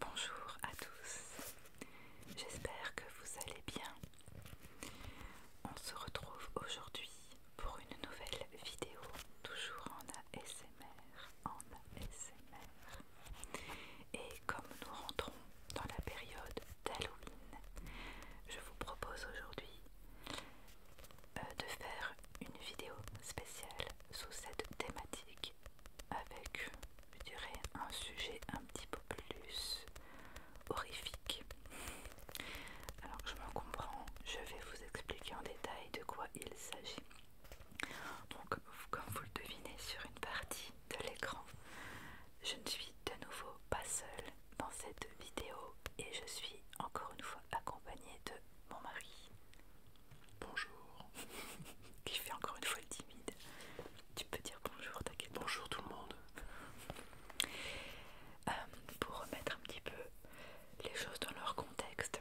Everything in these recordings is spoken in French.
Bonjour à tous, j'espère que vous allez bien. On se retrouve aujourd'hui pour une nouvelle vidéo, toujours en ASMR, en ASMR. Et comme nous rentrons dans la période d'Halloween, je vous propose aujourd'hui euh, de faire une vidéo spéciale sous cette thématique avec, je dirais, un sujet un petit peu plus horrifique. Alors je m'en comprends, je vais vous expliquer en détail de quoi il s'agit. Donc, comme vous le devinez, sur une partie de l'écran. Je ne suis de nouveau pas seule dans cette vidéo et je suis encore une fois accompagnée de mon mari. Bonjour. Qui fait encore une fois le timide. Tu peux dire bonjour, t'inquiète. Bonjour tout le monde. Euh, pour remettre un petit peu les choses dans leur contexte,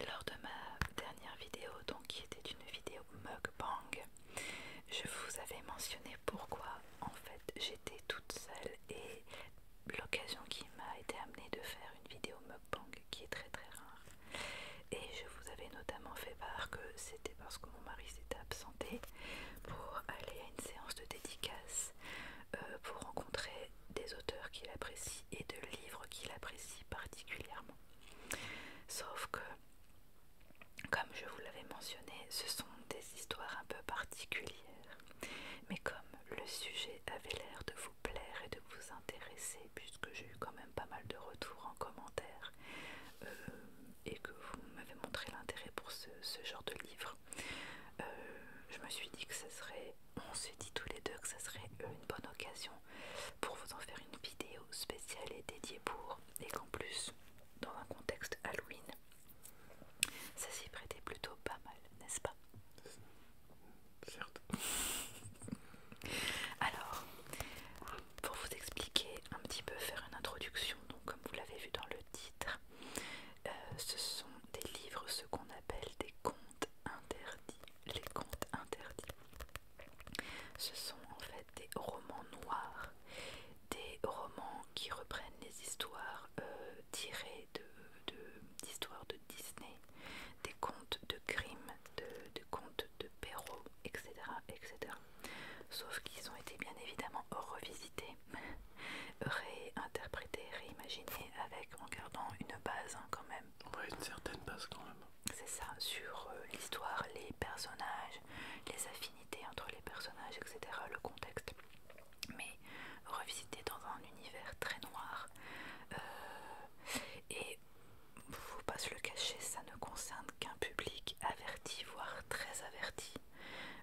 lors de ma dernière vidéo, donc qui était une vidéo mukbang, je vous avais mentionné pourquoi en fait j'étais toute seule et l'occasion qui m'a été amenée de faire une vidéo mukbang qui est très très rare. Et je vous avais notamment fait part que c'était parce que mon mari s'était absenté pour aller à une séance de dédicace euh, pour rencontrer des auteurs qu'il apprécie et de livres qu'il apprécie particulièrement. Sauf que comme je vous l'avais mentionné, ce sont des histoires un peu particulières, mais comme le sujet avait l'air de vous plaire et de vous intéresser, puisque j'ai eu quand même pas mal de retours en commentaire, euh, et que vous m'avez montré l'intérêt pour ce, genre de livre, euh, je me suis dit que ce serait, on s'est dit tous les deux que ce serait euh, une bonne occasion pour vous en faire une vidéo spéciale et dédiée pour, et qu'en plus dans un contexte Halloween, ça s'y prêtait plutôt pas mal, n'est-ce pas Certes. Alors, pour vous expliquer un petit peu, faire une introduction, donc comme vous l'avez vu dans le titre, euh, ce sont des livres, ce qu'on appelle des contes interdits. Les contes interdits, ce sont en fait des romans noirs, des romans qui reprennent les histoires euh, tirées d'histoires de, de Disney, des contes de crime, de, de contes de Perrault, etc. etc. Sauf qu'ils ont été bien évidemment revisités, réinterprétés, réimaginés avec en gardant une base hein, quand même. Oui, une certaine base quand même. C'est ça, sur euh, l'histoire, les personnages, les affiches entre les personnages, etc., le contexte. Mais revisité dans un univers très noir. Euh, et vous pas se le cacher, ça ne concerne qu'un public averti, voire très averti.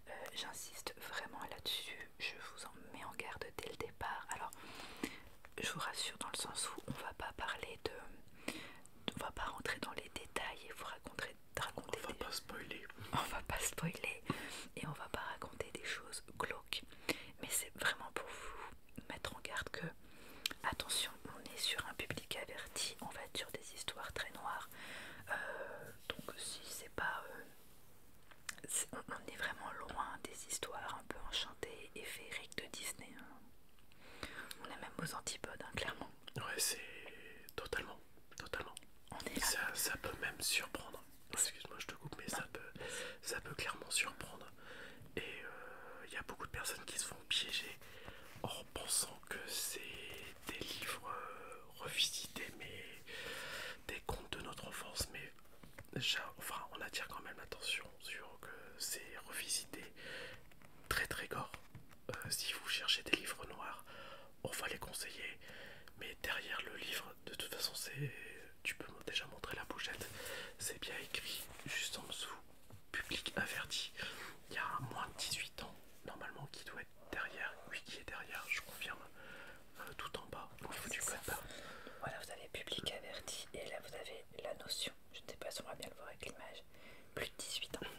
Euh, j'insiste vraiment là-dessus, je vous en mets en garde dès le départ. Alors, je vous rassure dans le sens où on va pas parler de on va pas rentrer dans les détails et vous raconter, raconter on va pas spoiler on va pas spoiler et on va pas raconter des choses glauques mais c'est vraiment pour vous mettre en garde que attention on est sur un public averti on va être sur des histoires très noires euh, donc si c'est pas euh, on, est vraiment loin des histoires un peu enchantées et féeriques de Disney hein. on est même aux antipodes hein, clairement Ouais, c'est totalement, totalement. Ça, peut même surprendre. Excuse-moi, je te coupe, mais ça peut, clairement surprendre. Et il euh, y a beaucoup de personnes qui se font piéger en pensant que c'est des livres euh, revisités, mais des contes de notre enfance. Mais enfin, on attire quand même l'attention sur que c'est revisité très très gore. Euh, si vous cherchez des livres noirs, on va les conseiller. Mais derrière le livre, de toute façon, c'est, tu peux déjà montrer la bouchette, C'est bien écrit juste en dessous, public averti. Il y a moins de 18 ans normalement qui doit être derrière. Oui, qui est derrière, je confirme. Euh, tout en bas, Voilà, vous avez public averti et là vous avez la notion. Je ne sais pas si on va bien le voir avec l'image plus de 18 ans.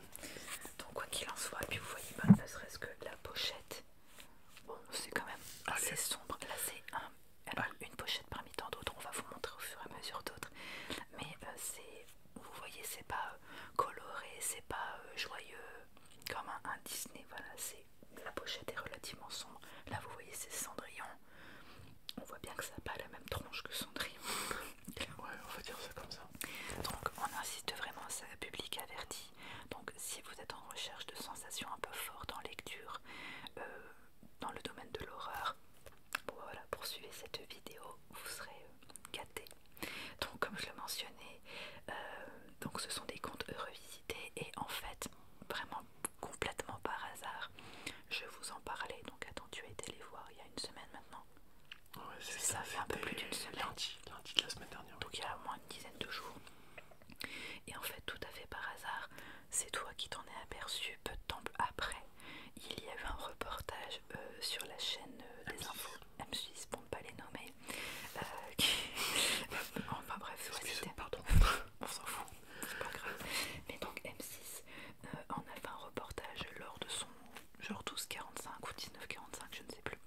Donc quoi qu'il en soit, puis vous voyez pas ne serait-ce que la pochette. Bon, c'est quand même ah, assez sombre. Là c'est une pochette parmi tant d'autres. On va vous montrer au fur et à mesure d'autres. Mais euh, c'est, vous voyez, c'est pas euh, coloré, c'est pas euh, joyeux comme un, Disney. Voilà, c'est la pochette est relativement sombre. Là vous voyez c'est Cendrillon. On voit bien que ça n'a pas la même tronche que Cendrillon. ouais, on va dire ça comme ça. Donc on insiste vraiment, ça public averti. Donc si vous êtes en recherche de sensations un peu fortes en lecture, euh, dans le domaine de l'horreur, poursuivez cette vidéo, vous serez euh, gâtés. Donc comme je le mentionnais, euh, ce sont des contes revisités et en fait vraiment complètement par hasard, je vous en parlais. Donc attends, tu as été les voir il y a une semaine maintenant ça, fait un peu plus d'une semaine. Lundi, de la semaine dernière. Donc il y a au moins une dizaine de jours. Et en fait, tout à fait par hasard, c'est toi qui t'en es aperçu peu de temps après. Il y avait un reportage euh, sur la chaîne euh, des infos M6, pour ne pas les nommer. Euh, enfin bref, peu pardon, on s'en fout, c'est pas grave. Mais donc M6 en euh, a fait un reportage lors de son genre 12-45 ou 19-45, je ne sais plus.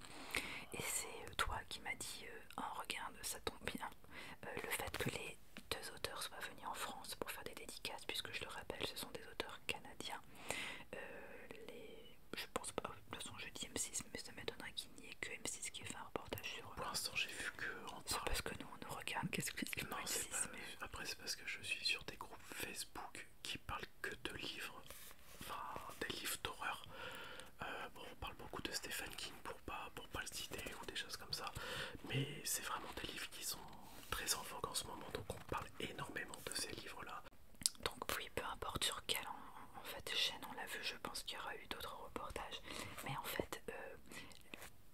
Et c'est euh, toi qui m'a dit en euh, regarde, ça tombe bien. le fait que les deux auteurs soient venus en France pour faire des dédicaces, puisque je le rappelle, ce sont des auteurs canadiens. les... Je pense pas, de son façon je dis M6, mais ça m'étonnerait qu'il n'y ait que M6 qui ait fait un reportage sur eux. Pour l'instant, j'ai vu que. C'est parce que nous on nous regarde, qu'est-ce que c'est M6, après, c'est parce que je suis sur des groupes Facebook qui parle que de livres, enfin des livres d'horreur. Euh, on parle beaucoup de Stephen King pour pas, pour pas le citer ou des choses comme ça, mais c'est vraiment des livres qui sont très en vogue en ce moment, donc on parle énormément de ces livres-là. Donc oui, peu importe sur quelle en, fait, chaîne on l'a vu, je pense qu'il y aura eu d'autres reportages, mais en fait euh,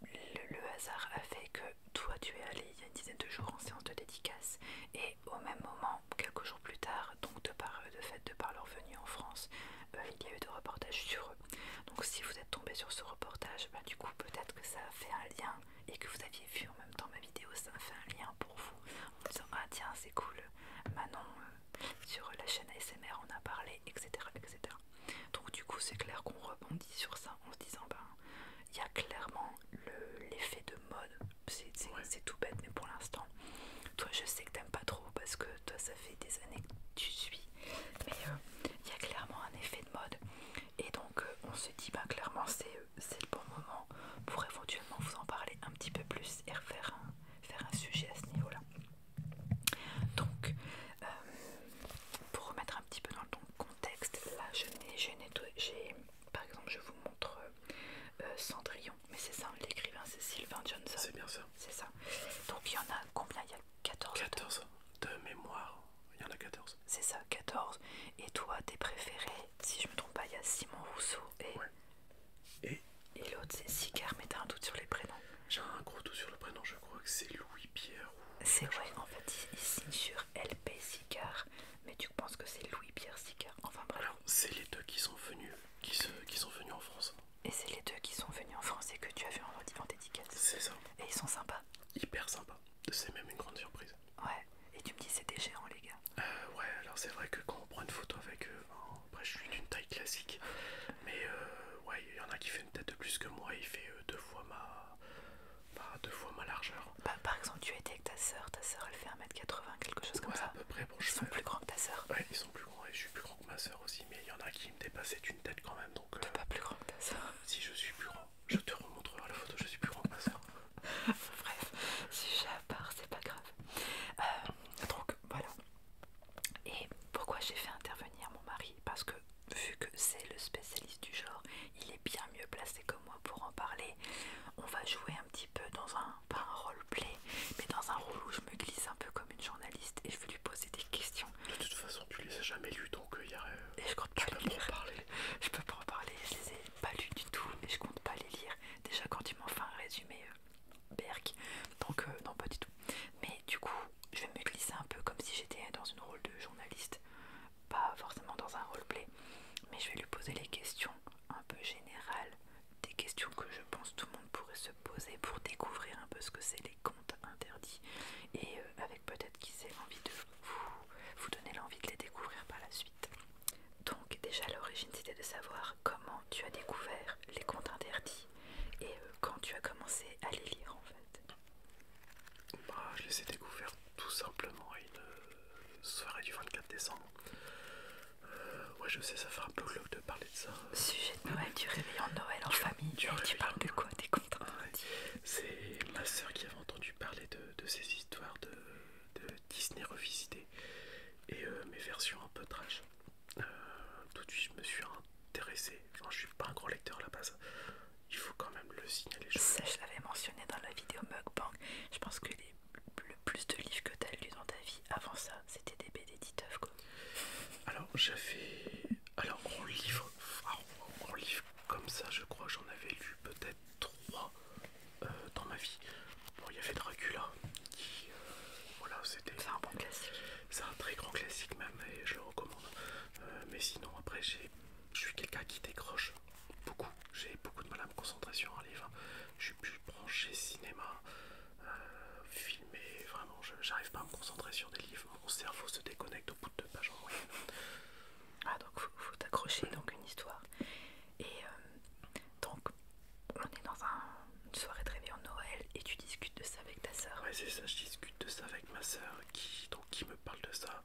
le, hasard a fait que toi tu es allé il y a une dizaine de jours en séance de dédicace et au même moment, quelques jours plus tard, donc de par, euh, de fait, de par leur venue en France, euh, il y a eu des reportages sur eux. Donc si vous êtes tombé sur ce reportage, bah, du coup peut-être que ça a fait un lien et que vous aviez vu en même temps ma vidéo, ça fait un lien pour vous en disant ah tiens c'est cool, Manon euh, sur la chaîne ASMR on a parlé, etc. etc. Donc du coup c'est clair qu'on rebondit sur ça en se disant ben, il y a clairement l'effet de mode. C'est tout bête, mais pour l'instant, toi je sais que t'aimes pas trop parce que toi ça fait des années que tu suis. Mais euh, il y a clairement un effet de mode. Et donc euh, on se dit, bah clairement c'est le bon moment pour éventuellement vous en parler un petit peu plus et refaire un, faire un sujet à ce niveau-là. Donc, euh, pour remettre un petit peu dans le contexte, là je n'ai par exemple, je vous montre euh, euh, Cendrillon, mais c'est ça, l'écrivain c'est Sylvain Johnson. C'est bien ça. C'est ça. Donc il y en a combien Il y a 14 14 de, mémoire. Il y en a 14. C'est ça, 14. Et toi, tes préférés, si je me trompe pas, il y a Simon Rousseau et. Et, l'autre c'est Sicard, mais t'as un doute sur les prénoms. J'ai un gros doute sur le prénom, je crois que c'est Louis-Pierre C'est vrai, en fait, il, signe sur LPC mais tu penses que c'est Louis-Pierre sticker. Enfin bref. Alors, c'est les deux qui sont venus, qui, qui sont venus en France. Et c'est les deux qui sont venus en France et que tu as vu en, en dédicace. C'est ça. Et ils sont sympas. Hyper sympas. C'est même une grande surprise. Ouais. Et tu me dis c'était géant les gars. Euh, ouais, alors c'est vrai que quand on prend une photo avec eux, hein, après je suis d'une taille classique, mais euh, ouais, il y en a qui fait une tête de plus que moi, il fait euh, deux fois ma bah, deux fois ma largeur. Bah, par exemple, tu étais avec ta soeur, ta soeur elle fait 1m80, quelque chose comme ça. ils sont plus grands que ta soeur. Ouais, ils sont plus grands et je suis plus grand que ma soeur aussi, mais il y en a qui me dépassaient d'une tête quand même. Tu es euh, pas plus grand que ta soeur Si je suis plus grand, je te remontrerai la photo, je suis plus grand que ma soeur. Bref, sujet à part, c'est pas grave. Euh, donc voilà. Et pourquoi j'ai fait intervenir mon mari Parce que vu que c'est le spécialiste du genre, il est bien mieux placé que moi pour en parler on va jouer un petit peu dans un, pas un mais dans un rôle où je me glisse un peu comme une journaliste et je vais lui poser des questions. De toute façon, tu les as jamais lues donc il euh, y a. Euh, et je compte pas parler. Je peux pas en parler, je les ai pas lues du tout et je compte pas les lire. Déjà, quand tu m'en fais un résumé, euh, berg, donc non, pas du tout. Mais du coup, je vais me glisser un peu comme si j'étais dans une rôle de journaliste pas forcément dans un roleplay, mais je vais lui poser les questions un peu générales, des questions que je pense tout le monde pourrait se poser pour découvrir un peu ce que c'est les comptes interdits, et euh, avec peut-être qui c'est envie de vous, vous donner l'envie de les découvrir par la suite. Donc déjà l'origine c'était de savoir comment tu as découvert les comptes interdits et euh, quand tu as commencé à les lire en fait. Bah, je les ai découverts tout simplement une euh, soirée du 24 décembre. Euh, ouais, je sais, ça fait un peu glauque de parler de ça. Sujet de Noël, du réveillon de Noël en famille. tu parles de quoi Des contes C'est ma soeur qui avait entendu parler de, ces histoires de, Disney revisité et euh, mes versions un peu trash. tout de suite, je me suis intéressé. enfin je suis pas un grand lecteur à la base. Il faut quand même je ça, je l'avais mentionné dans la vidéo mugbank. Je pense que le plus de livres que t'as lu dans ta vie avant ça, c'était des BD Titeuf, quoi. Alors, j'avais. Alors, en livre, livre comme ça, je crois, j'en avais lu peut-être trois euh, dans ma vie. Bon, il y avait Dracula, qui. Euh, voilà, c'était. C'est un bon classique. C'est un très grand classique, même, et je le recommande. Euh, mais sinon, après, je suis quelqu'un qui décroche beaucoup. J'ai beaucoup de mal à me concentrer sur un livre. Je suis plus branché cinéma, euh, Filmer, vraiment, j'arrive pas à me concentrer sur des livres. Mon cerveau se déconnecte au bout de deux pages en moyenne. Ah, donc faut, faut t'accrocher donc une histoire. Et euh, donc, on est dans un, une soirée de réveillon de Noël et tu discutes de ça avec ta soeur. Ouais, c'est ça, je discute de ça avec ma soeur qui, donc, qui me parle de ça.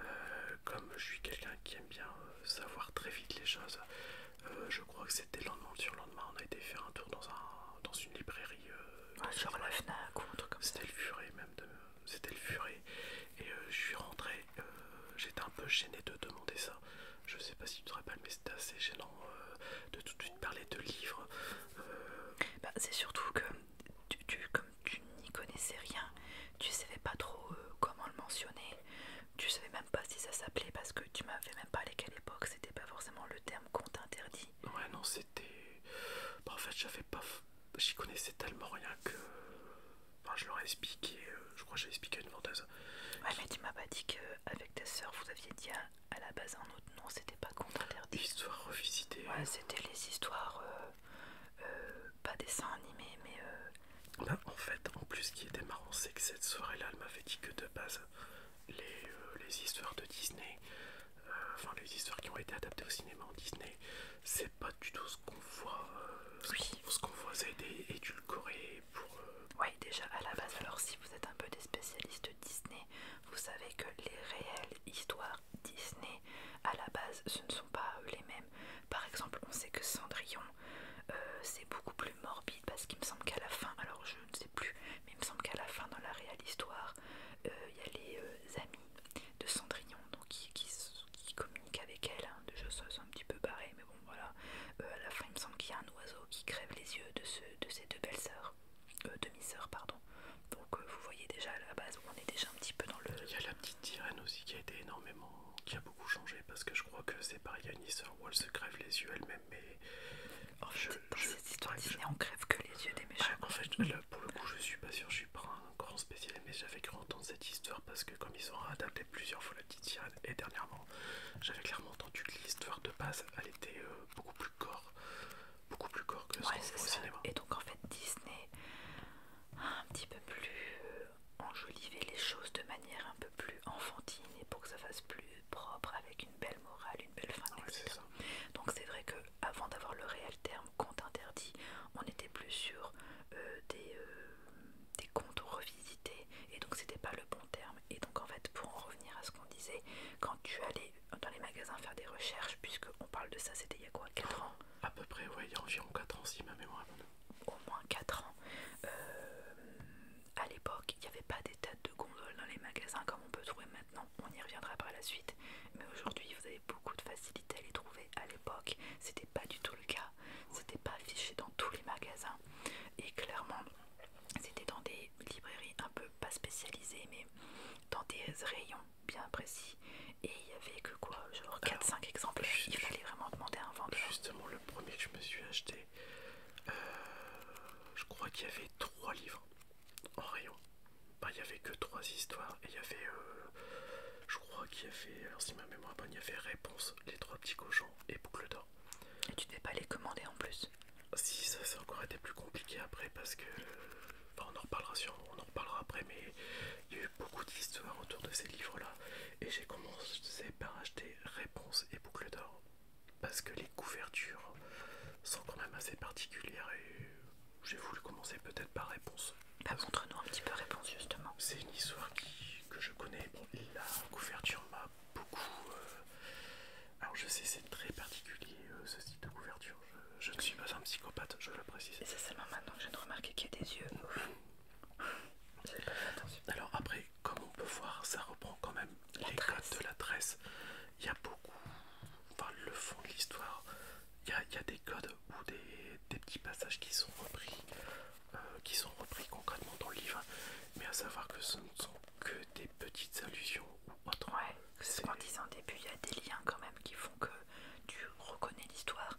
Euh, comme je suis quelqu'un qui aime bien euh, savoir très vite les choses, euh, je crois que c'était le lendemain sur lendemain, on a été faire un tour dans, un, dans une librairie. Ah, sur la FNAC ou comme C'était le furet même, c'était le furet. Et je suis rentré, j'étais un peu gêné de demander ça. Je sais pas si tu te rappelles, mais c'était assez gênant de tout de suite parler de livres. Bah, c'est surtout que tu, tu, comme tu n'y connaissais rien, tu savais pas trop euh, comment le mentionner, tu savais même pas si ça s'appelait parce que tu m'avais même parlé qu'à l'époque c'était pas forcément le terme compte interdit. Ouais, non, c'était. Bah, en fait, j'avais pas. J'y connaissais tellement rien que. Enfin, je leur ai expliqué, euh, je crois que j'ai expliqué une vendeuse. Ouais, mais tu m'as pas dit qu'avec ta soeur vous aviez dit à, la base un autre nom, c'était pas compte interdit. L'histoire revisitée. Ouais, c'était les histoires. Euh, euh, pas des dessin animés mais... Euh, bah, en fait, en plus, ce qui était marrant, c'est que cette soirée-là, elle m'avait dit que de base, les, euh, histoires de Disney, enfin les histoires qui ont été adaptées au cinéma en Disney, c'est pas du tout ce qu'on voit. Ce qu'on voit, c'est des édulcorés pour... ouais Oui, déjà, à la base, alors si vous êtes un peu des spécialistes Disney, vous savez que les réelles histoires Disney, à la base, ce ne sont pas les mêmes par exemple, on sait que Cendrillon, euh, c'est beaucoup plus morbide parce qu'il me semble qu'à la fin, alors je ne sais plus, mais il me semble qu'à la fin dans la réelle histoire, euh, il y a les euh, amis de Cendrillon donc, qui, communiquent avec elle. sais de choses un petit peu barré, mais bon voilà. à la fin, il me semble qu'il y a un oiseau qui crève les yeux de, ce, de ces deux belles sœurs, demi-sœurs, pardon. Donc vous voyez déjà à la base, on est déjà un petit peu dans le petite aussi qui a été énormément, qui a beaucoup changé parce que je crois que c'est pareil, où Wall se crève les yeux elle-même, mais en fait, je, cette histoire on crève que les yeux des méchants. en fait, pour le coup, je suis pas sûr, je suis pas un grand spécial, mais j'avais cru entendre cette histoire parce que comme ils ont adapté plusieurs fois la petite et dernièrement, j'avais clairement entendu que l'histoire de base, elle était euh, beaucoup plus corps, beaucoup plus gore que ce au cinéma. Et donc en fait, Disney un petit peu plus euh, enjoliver les choses de manière un peu plus enfantine et pour que ça fasse plus propre avec une belle morale, une belle fin, etc. Donc c'est vrai que avant d'avoir le réel terme compte interdit, on était plus sur euh, des, euh, comptes revisités et donc c'était pas le bon terme. Et donc en fait pour en revenir à ce qu'on disait, quand tu allais dans les magasins faire des recherches, puisqu'on parle de ça, c'était il y a quoi 4 ans À peu près, ouais, il y a environ 4 ans si ma mémoire est bonne au moins 4 ans, A euh, à l'époque, il n'y avait pas des têtes de gondole dans les magasins comme on peut trouver maintenant. On y reviendra par la suite. Mais aujourd'hui, vous avez beaucoup de facilité à les trouver. À l'époque, c'était pas du tout le cas. C'était pas affiché dans tous les magasins. Et clairement, c'était dans des librairies un peu pas spécialisées, mais dans des rayons bien précis et il y avait que quoi, genre 4-5 exemples, Il fallait vraiment demander à un vendeur. Justement, le premier que je me suis acheté, euh, je crois qu'il y avait 3 livres en rayon. il y avait que 3 histoires et il y avait, euh, je crois qu'il y avait, si ma mémoire est bonne, il y avait Réponse, Les Trois Petits Cochons et Boucle d'Or. Et tu devais pas les commander en plus Si, ça, ça a encore été plus compliqué après parce que. on en reparlera on en reparlera après, mais il y a eu beaucoup d'histoires autour de ces livres-là et j'ai commencé par acheter Réponse et Boucle d'Or parce que les couvertures sont quand même assez particulières et j'ai voulu commencer peut-être par Réponse. Bah, montre-nous un petit peu Réponse justement. C'est une histoire qui, que je connais. Bon, la couverture m'a beaucoup. Euh, alors je sais, c'est très particulier euh, ce type de couverture. Je, ne suis pas un psychopathe, je le précise. Et c'est seulement maintenant que je viens de remarquer qu'il y a des yeux. Alors après, comme on peut voir, ça reprend quand même les codes de la tresse. Il y a beaucoup, enfin le fond de l'histoire, il y, a, des codes ou des, petits passages qui sont repris, euh, qui sont repris concrètement dans le livre. Mais à savoir que ce ne sont que des petites allusions ou autres. Ouais, c'est ce qu'on disait en début, il y a des liens quand même qui font que tu reconnais l'histoire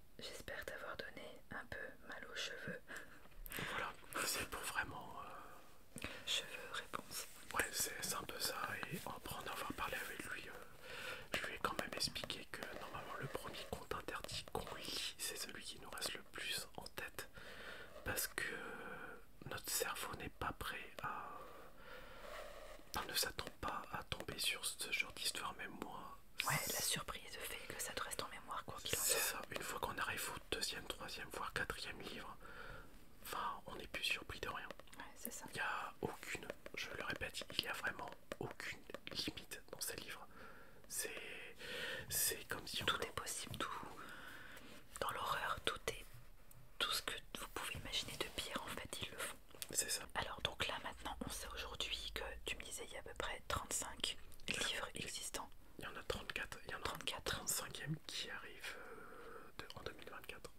J'espère t'avoir donné un peu mal aux cheveux. Voilà, c'est pour vraiment... Euh, cheveux, réponse. Ouais, c'est un peu ça. Et après en avoir parlé avec lui, euh, je vais quand même expliquer que normalement le premier compte interdit qu'on lit, c'est celui qui nous reste le plus en tête. Parce que euh, notre cerveau n'est pas prêt à... Enfin, ne s'attend pas à tomber sur ce genre d'histoire, même moi, Ouais, la surprise fait que ça te reste en mémoire quoi qu'il en soit. C'est ça, une fois qu'on arrive au deuxième, troisième, voire quatrième livre, enfin, on n'est plus surpris de rien. Ouais, c'est ça. Il n'y a aucune, je le répète, il n'y a vraiment aucune limite dans ces livres. C'est comme si Tout est possible, tout. Dans l'horreur, tout est. Tout ce que vous pouvez imaginer de pire, en fait, ils le font. C'est ça. Alors, donc là, non, on sait aujourd'hui que tu me disais il y a à peu près 35 livres existants. Il y en a 34. Il y en a 35e qui arrive euh, en 2024.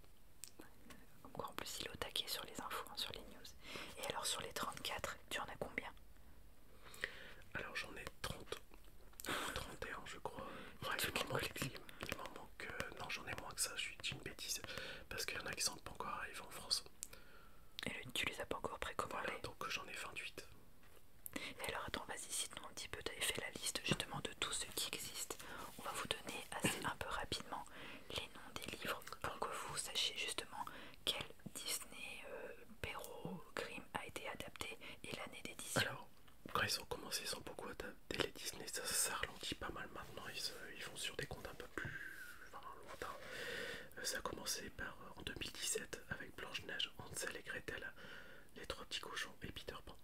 encore euh, en plus, il est au taquet sur les infos, hein, sur les news. Et alors, sur les 34, tu en as combien Alors, j'en ai 30. 31, je crois. il m'en manque, euh, non, j'en ai moins que ça, je suis une bêtise. Parce qu'il y en a qui sont pas encore arrivés en France. Et tu les as pas encore précommandés voilà, Donc j'en ai 28. Et alors attends, vas-y, cite-nous un petit peu. Tu fait la liste justement de tout ce qui existe. On va vous donner assez un peu rapidement les noms des livres pour que vous sachiez justement quel Disney, euh, Perro, grim Grimm a été adapté et l'année d'édition. Alors, quand ils ont commencé, ils ont beaucoup adapté les Disney. Ça, ça ralentit pas mal maintenant. Euh, ils vont sur des comptes un peu plus ça a commencé par, euh, en 2017 avec Blanche-Neige, Hansel et Gretel, Les Trois Petits Cochons et Peter Pan.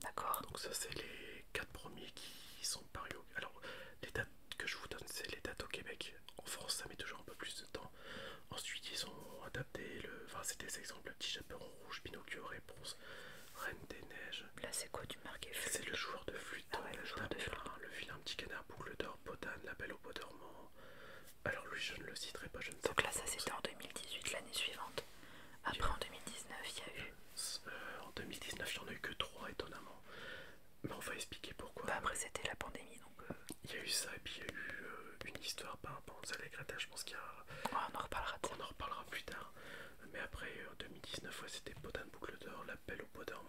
D'accord. Donc ça c'est les quatre premiers qui sont parus. Alors les dates que je vous donne c'est les dates au Québec. En France ça met toujours un peu plus de temps. Ensuite ils ont adapté le... Enfin c'est des exemples. Petit chaperon rouge, Pinocchio, Réponse, Reine des Neiges. Là c'est quoi du marqué C'est le joueur de flûte. Ah le joueur de flûte. Le petit canard, boucle d'or, Potane, La Belle au pot dormant. Alors lui, je ne le citerai pas, je ne sais Donc là, ça c'était en 2018, l'année suivante. Après, en 2019, il y a eu. Euh, en 2019, il n'y en a eu que 3, étonnamment. Mais on va expliquer pourquoi. Bah, après, c'était la pandémie, donc. Euh, il y a eu ça, et puis il y a eu euh, une histoire par rapport aux Allegretta, je pense qu'il y a. Ouais, on en reparlera. On en reparlera plus tard. Mais après, en 2019, c'était Potin Boucle d'Or, l'appel au pot d'or.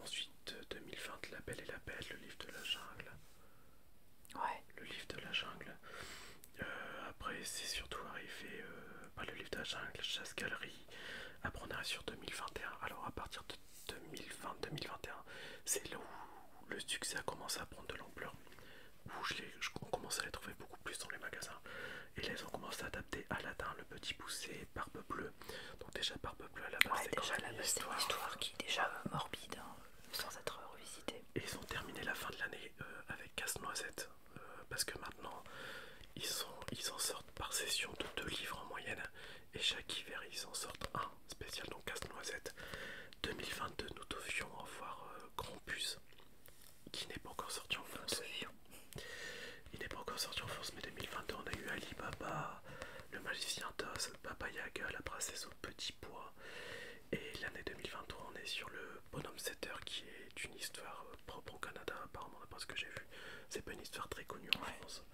Ensuite, 2020 La Belle et la belle le livre de la jungle. Ouais. Le livre de la jungle. Euh, après, c'est surtout arrivé, euh, le livre de la jungle, Chasse Galerie. Après, on arrive sur 2021. Alors, à partir de 2020-2021, c'est là où le succès a commencé à prendre de l'ampleur. Où je, je commence à les trouver beaucoup plus dans les magasins. Et les ont commencé à adapter Aladdin, le petit poussé, Barbe Bleue. Donc, déjà, Barbe c'est histoire qui est déjà euh, morbide, hein, sans être revisitée. Et ils ont terminé la fin de l'année euh, avec Casse-Noisette, euh, parce que maintenant, ils, sont, ils en sortent par session de deux livres en moyenne, et chaque hiver, ils en sortent un spécial, donc Casse-Noisette. 2022, nous devions avoir Grand Puce qui n'est pas encore sorti en France. Il n'est pas encore sorti en France, mais 2022, on a eu Alibaba, le magicien d'os Papaya Papayaga, la princesse au petit pois. Et l'année 2023, on est sur le Bonhomme Setter qui est une histoire euh, propre au Canada, apparemment, d'après ce que j'ai vu. C'est pas une histoire très connue en France.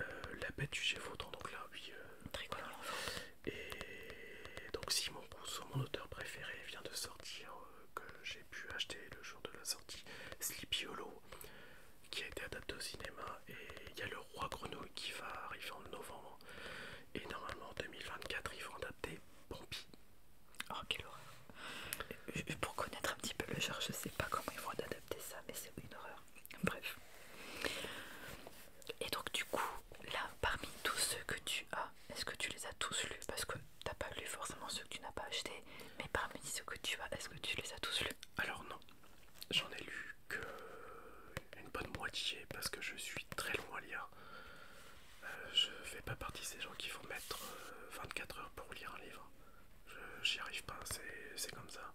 Euh, la bête du Gévaudan, donc là, oui. Euh, Et donc, Simon Rousseau, mon auteur préféré, vient de sortir, que j'ai pu acheter le jour de la sortie, Sleepy Hollow qui a été adapté au cinéma et il y a le roi grenouille qui va arriver en novembre et normalement en 2024 ils vont adapter Pompi. Oh quelle horreur Pour connaître un petit peu le genre je sais pas comment ils vont adapter ça mais c'est une horreur. Bref. Et donc du coup là parmi tous ceux que tu as, est-ce que tu les as tous lus Parce que t'as pas lu forcément ceux que tu n'as pas acheté mais parmi ceux que tu as, est-ce que tu les as tous lus Alors non. J'en ai lu que une bonne moitié parce que je suis très loin à lire. Euh, je fais pas partie de ces gens qui font mettre 24 euh, heures pour lire un livre. J'y arrive pas, c'est comme ça.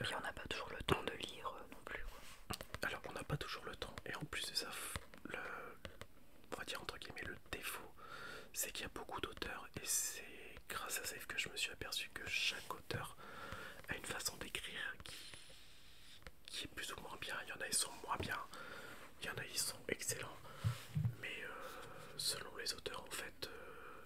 Et on n'a pas toujours le temps de lire euh, non plus. Alors on n'a pas toujours le temps et en plus de ça, le, on va dire entre guillemets le défaut, c'est qu'il y a beaucoup d'auteurs et c'est grâce à Save que je me suis aperçu que chaque auteur a une façon d'écrire qui, est plus ou moins bien. Il y en a, ils sont moins bien, il y en a, ils sont excellents, mais euh, selon les auteurs, en fait, euh,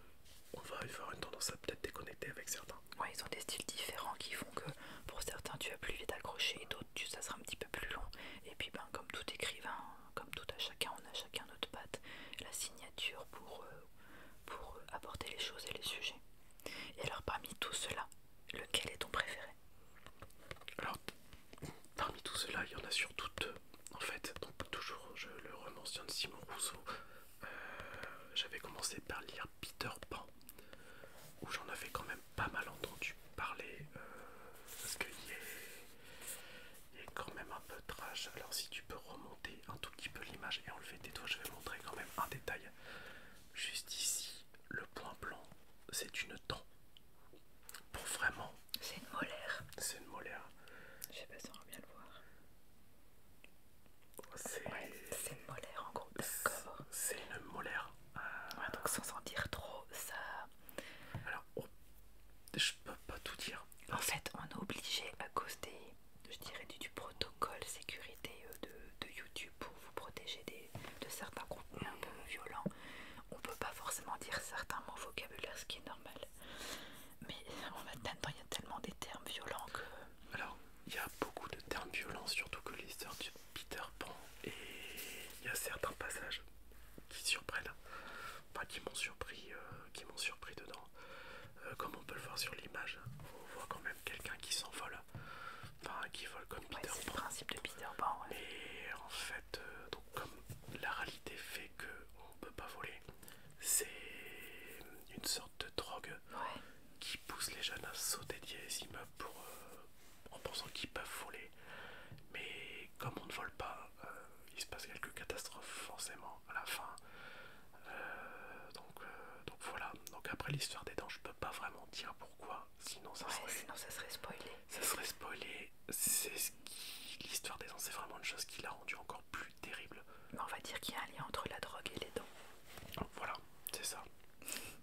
on va avoir une tendance à peut-être déconnecter avec certains. Ouais, ils ont des styles différents qui font que pour certains, tu vas plus vite accrocher et d'autres, tu ça sera un petit peu plus long. Et puis, ben, comme tout écrivain, comme tout à chacun, on a chacun notre patte, la signature pour. Euh, euh, pour apporter les choses et les sujets. Et alors parmi tout cela, lequel est ton préféré Alors parmi tout cela, il y en a surtout deux. En fait, donc toujours je le de Simon Rousseau. Euh, j'avais commencé par lire Peter Pan, où j'en avais quand même pas mal entendu parler, euh, parce qu'il est quand même un peu trash. Alors si tu peux remonter un tout petit peu l'image et enlever des doigts, je vais montrer quand même un détail. Juste ici, le point blanc, c'est une dent. Pour vraiment. C'est une molaire. C'est une molaire. Je sais pas si on va bien le voir. C'est une molaire en gros, d'accord. C'est une molaire. Euh, sans en dire trop, ça. Alors, oh, je peux pas tout dire. En fait, on est obligé à cause des, je dirais, du, protocole sécurité euh, de, YouTube pour vous protéger de certains contenus un peu violents. On peut pas forcément dire certains mots vocabulaire, ce qui est normal. Mais en même temps, il y a tellement des termes violents que. Alors, il y a beaucoup de termes violents, surtout que l'histoire de Peter Pan et il y a certains passages qui surprennent, enfin qui m'ont surpris. Euh, euh, qui m'ont surpris dedans. Euh, comme on peut le voir sur l'image, on voit quand même quelqu'un qui s'envole, enfin qui vole comme Peter le principe de Peter Mais en fait, euh, donc, comme la réalité fait qu'on ne peut pas voler, c'est une sorte de drogue qui pousse les jeunes à sauter des immeubles en pensant qu'ils peuvent voler. Mais comme on ne vole pas, il se passe quelques catastrophes forcément à la fin. Euh, euh, donc, voilà. Donc après l'histoire des dents, je peux pas vraiment dire pourquoi, sinon ça, serait, spoilé. Ça serait spoilé. C'est ce qui l'histoire des dents, c'est vraiment une chose qui l'a rendu encore plus terrible. on va dire qu'il y a un lien entre la drogue et les dents. Voilà, c'est ça.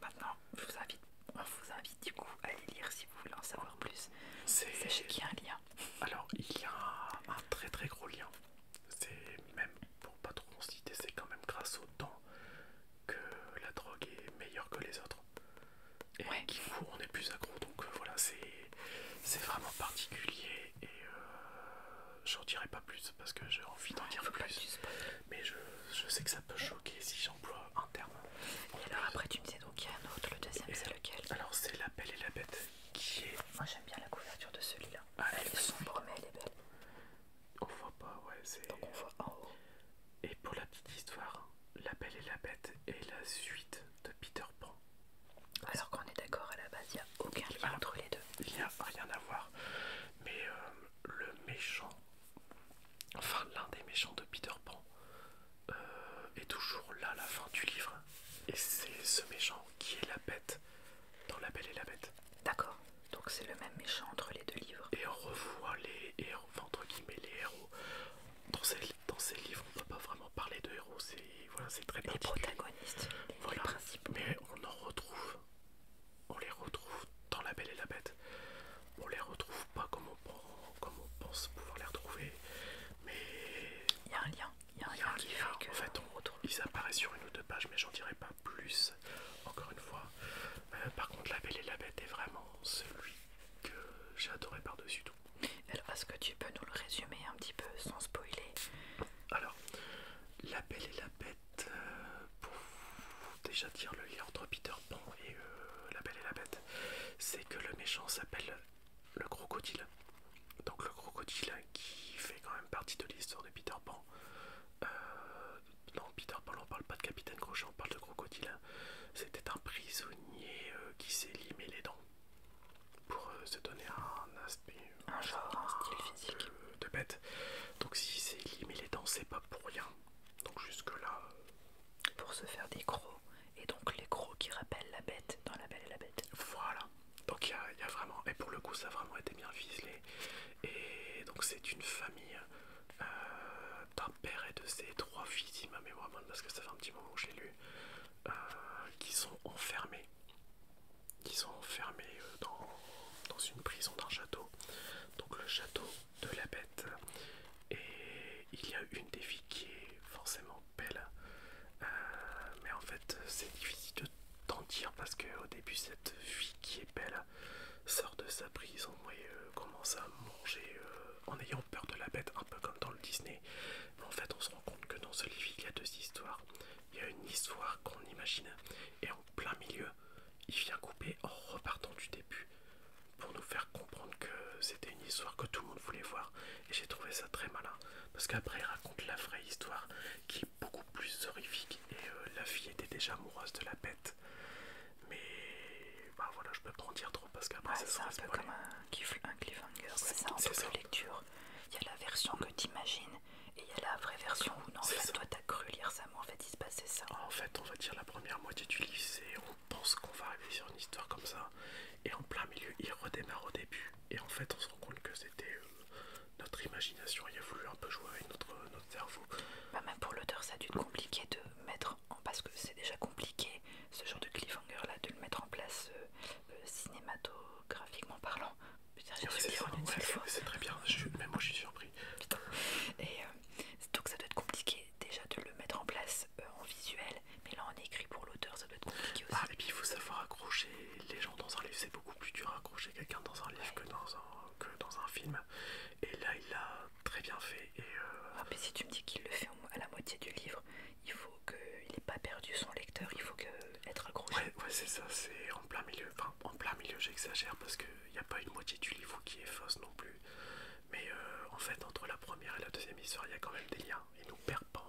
Maintenant, je vous invite, on vous invite du coup à les lire si vous voulez en savoir plus. Sachez qu'il y a un lien. Alors il y a un très très gros lien c'est même pour pas trop en citer, c'est quand même grâce au temps que la drogue est meilleure que les autres. Et ouais. on est plus accro. Donc euh, voilà, c'est vraiment particulier. Et je euh, j'en dirai pas plus parce que j'ai envie d'en dire plus. Mais je, sais que ça peut choquer si j'emploie un terme. Et alors, après, tu me sais donc il y a un autre, le deuxième, c'est lequel Alors, c'est la belle et la bête. Moi j'aime bien la couverture de celui-là. Ah, elle, est sombre mais elle est belle. On voit pas, ouais, c'est. Donc on voit en haut. Et pour la petite histoire, La Belle et la Bête est la suite de Peter Pan. Alors qu'on est d'accord à la base, il n'y a aucun lien ah. entre les deux. Il n'y a rien à voir. Mais euh, le méchant, enfin l'un des méchants de Peter Pan, euh, est toujours là à la fin du livre. Et c'est ce méchant qui est la bête dans La Belle et la Bête. D'accord, donc c'est le même méchant entre les deux livres. Et on revoit les héros, enfin, entre guillemets les héros. Dans ces, livres, on ne peut pas vraiment parler de héros, c'est voilà, très Les protagonistes, voilà. Mais on en retrouve, on les retrouve dans La Belle et la Bête. On les retrouve pas comme on, comme on pense pouvoir les retrouver, mais... Il y a un lien. Il y a qui En fait, on, ils apparaissent sur une ou deux pages, mais j'en dirai pas plus. Encore une fois. Euh, par contre, La Belle et la Bête est vraiment celui que j'ai adoré par-dessus tout. Elle est-ce que tu peux nous le résumer un petit peu sans spoiler Alors, La Belle et la Bête, euh, pour déjà dire le lien entre Peter Pan et euh, La Belle et la Bête, c'est que le méchant s'appelle le crocodile donc le crocodile hein, qui fait quand même partie de l'histoire de Peter Pan. Euh, non, Peter Pan, on parle pas de Capitaine Crochet, on parle de crocodile. Hein. C'était un prisonnier euh, qui s'est limé les dents pour euh, se donner un aspect, un genre, un style physique de, bête. Donc si c'est limé les dents, c'est pas pour rien. Donc jusque là, pour se faire des crocs. Et donc les crocs qui rappellent la bête dans La Belle et la Bête. Voilà. Donc il y, a, vraiment, et pour le coup ça a vraiment été bien ficelé. Et donc c'est une famille euh, d'un père et de ses trois filles, ma parce que ça fait un petit moment que j'ai lu, euh, qui sont enfermés. Qui sont enfermés euh, dans, une prison d'un château. Donc le château de la bête. Et il y a une des filles qui est forcément belle. mais en fait c'est difficile tant dire parce qu'au début, cette fille qui est belle sort de sa prison et euh, commence à manger euh, en ayant peur de la bête, un peu comme dans le Disney. Mais en fait, on se rend compte que dans ce livre, il y a deux histoires. Il y a une histoire qu'on imagine et en plein milieu, il vient couper en repartant du début pour nous faire comprendre que c'était une histoire que tout le monde voulait voir. Et j'ai trouvé ça très malin parce qu'après, il raconte la vraie histoire qui est beaucoup plus horrifique et euh, la fille était déjà amoureuse de la bête. Mais bah voilà, je peux pas en dire trop parce qu'après ça c'est un peu comme un, cliffhanger, c'est en lecture. Il y a la version que tu imagines et il y a la vraie version où non, toi t'as cru lire ça, mais en fait il se passait ça. En fait, on va dire la première moitié du livre, c'est on pense qu'on va arriver sur une histoire comme ça et en plein milieu il redémarre au début. Et en fait, on se rend compte que c'était euh, notre imagination. Il a voulu un peu jouer avec euh, notre, cerveau. Bah, même pour l'auteur, ça a dû être compliqué de mettre en. Parce que c'est déjà compliqué, ce genre de cliffhanger là, de le mettre en place euh, cinématographiquement parlant. c'est très bien, même moi je suis surpris. Et donc ça doit être compliqué déjà de le mettre en place en visuel, mais là en écrit pour l'auteur ça doit être compliqué ah, aussi. Ah, et puis il faut savoir accrocher les gens dans un livre, beaucoup plus dur à accrocher quelqu'un dans un livre que dans un, film. Et là, il l'a très bien fait. Et euh, ah, mais si tu me dis qu'il le fait à la moitié du livre, il faut qu'il n'ait pas perdu son lecteur, il faut que être accroché. Ouais, c'est ça, c'est en plein milieu. Enfin, en plein milieu, j'exagère parce qu'il n'y a pas une moitié du livre qui est fausse non plus. Mais euh, en fait, entre la première et la deuxième histoire, il y a quand même des liens. Il nous perd pas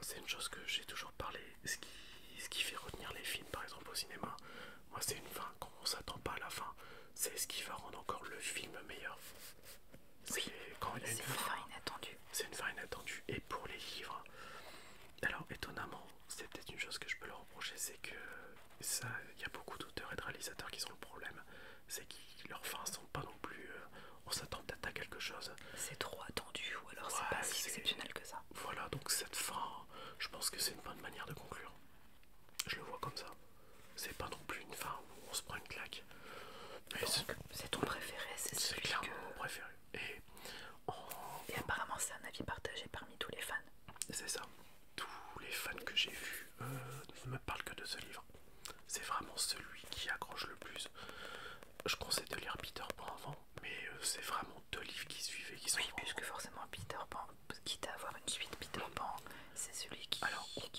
c'est une chose que j'ai toujours parlé. Ce qui, fait retenir les films, par exemple, au cinéma, moi, c'est une fin. Quand on s'attend pas à la fin, c'est ce qui va rendre encore le film meilleur. C'est une fin. inattendue. C'est une fin inattendue. Et pour les livres, alors étonnamment, c'est peut-être une chose que je peux leur reprocher, c'est que ça, il y a beaucoup d'auteurs et de réalisateurs qui sont le problème. C'est que leurs fins sont pas non plus. Euh, on s'attend peut-être à quelque chose. C'est trop ou alors c'est pas si exceptionnel que ça. Voilà, donc cette fin, je pense que c'est une bonne manière de conclure. Je le vois comme ça. C'est pas non plus une fin où on se prend une claque. C'est ton préféré, c'est celui clairement mon préféré. Et, apparemment c'est un avis partagé parmi tous les fans. C'est ça. Tous les fans que j'ai vu euh, ne me parlent que de ce livre. C'est vraiment celui qui accroche le plus. Je conseille de lire Peter Pan avant mais euh, c'est vraiment deux livres qui suivaient qui sont. Oui, puisque forcément Peter Pan, quitte à avoir une suite, Peter mm. Pan, c'est celui qui,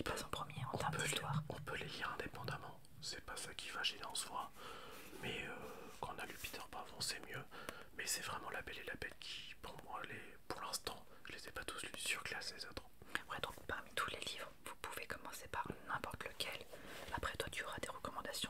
passe en premier en termes d'histoire. On peut les lire indépendamment, c'est pas ça qui va gêner en soi. Mais euh, quand on a lu Peter Pan c'est mieux. Mais c'est vraiment La Belle et la Bête qui, pour moi, les, pour l'instant, je les ai pas tous lus, surclassés les autres. Ouais, donc parmi tous les livres, vous pouvez commencer par n'importe lequel. Après, toi, tu auras des recommandations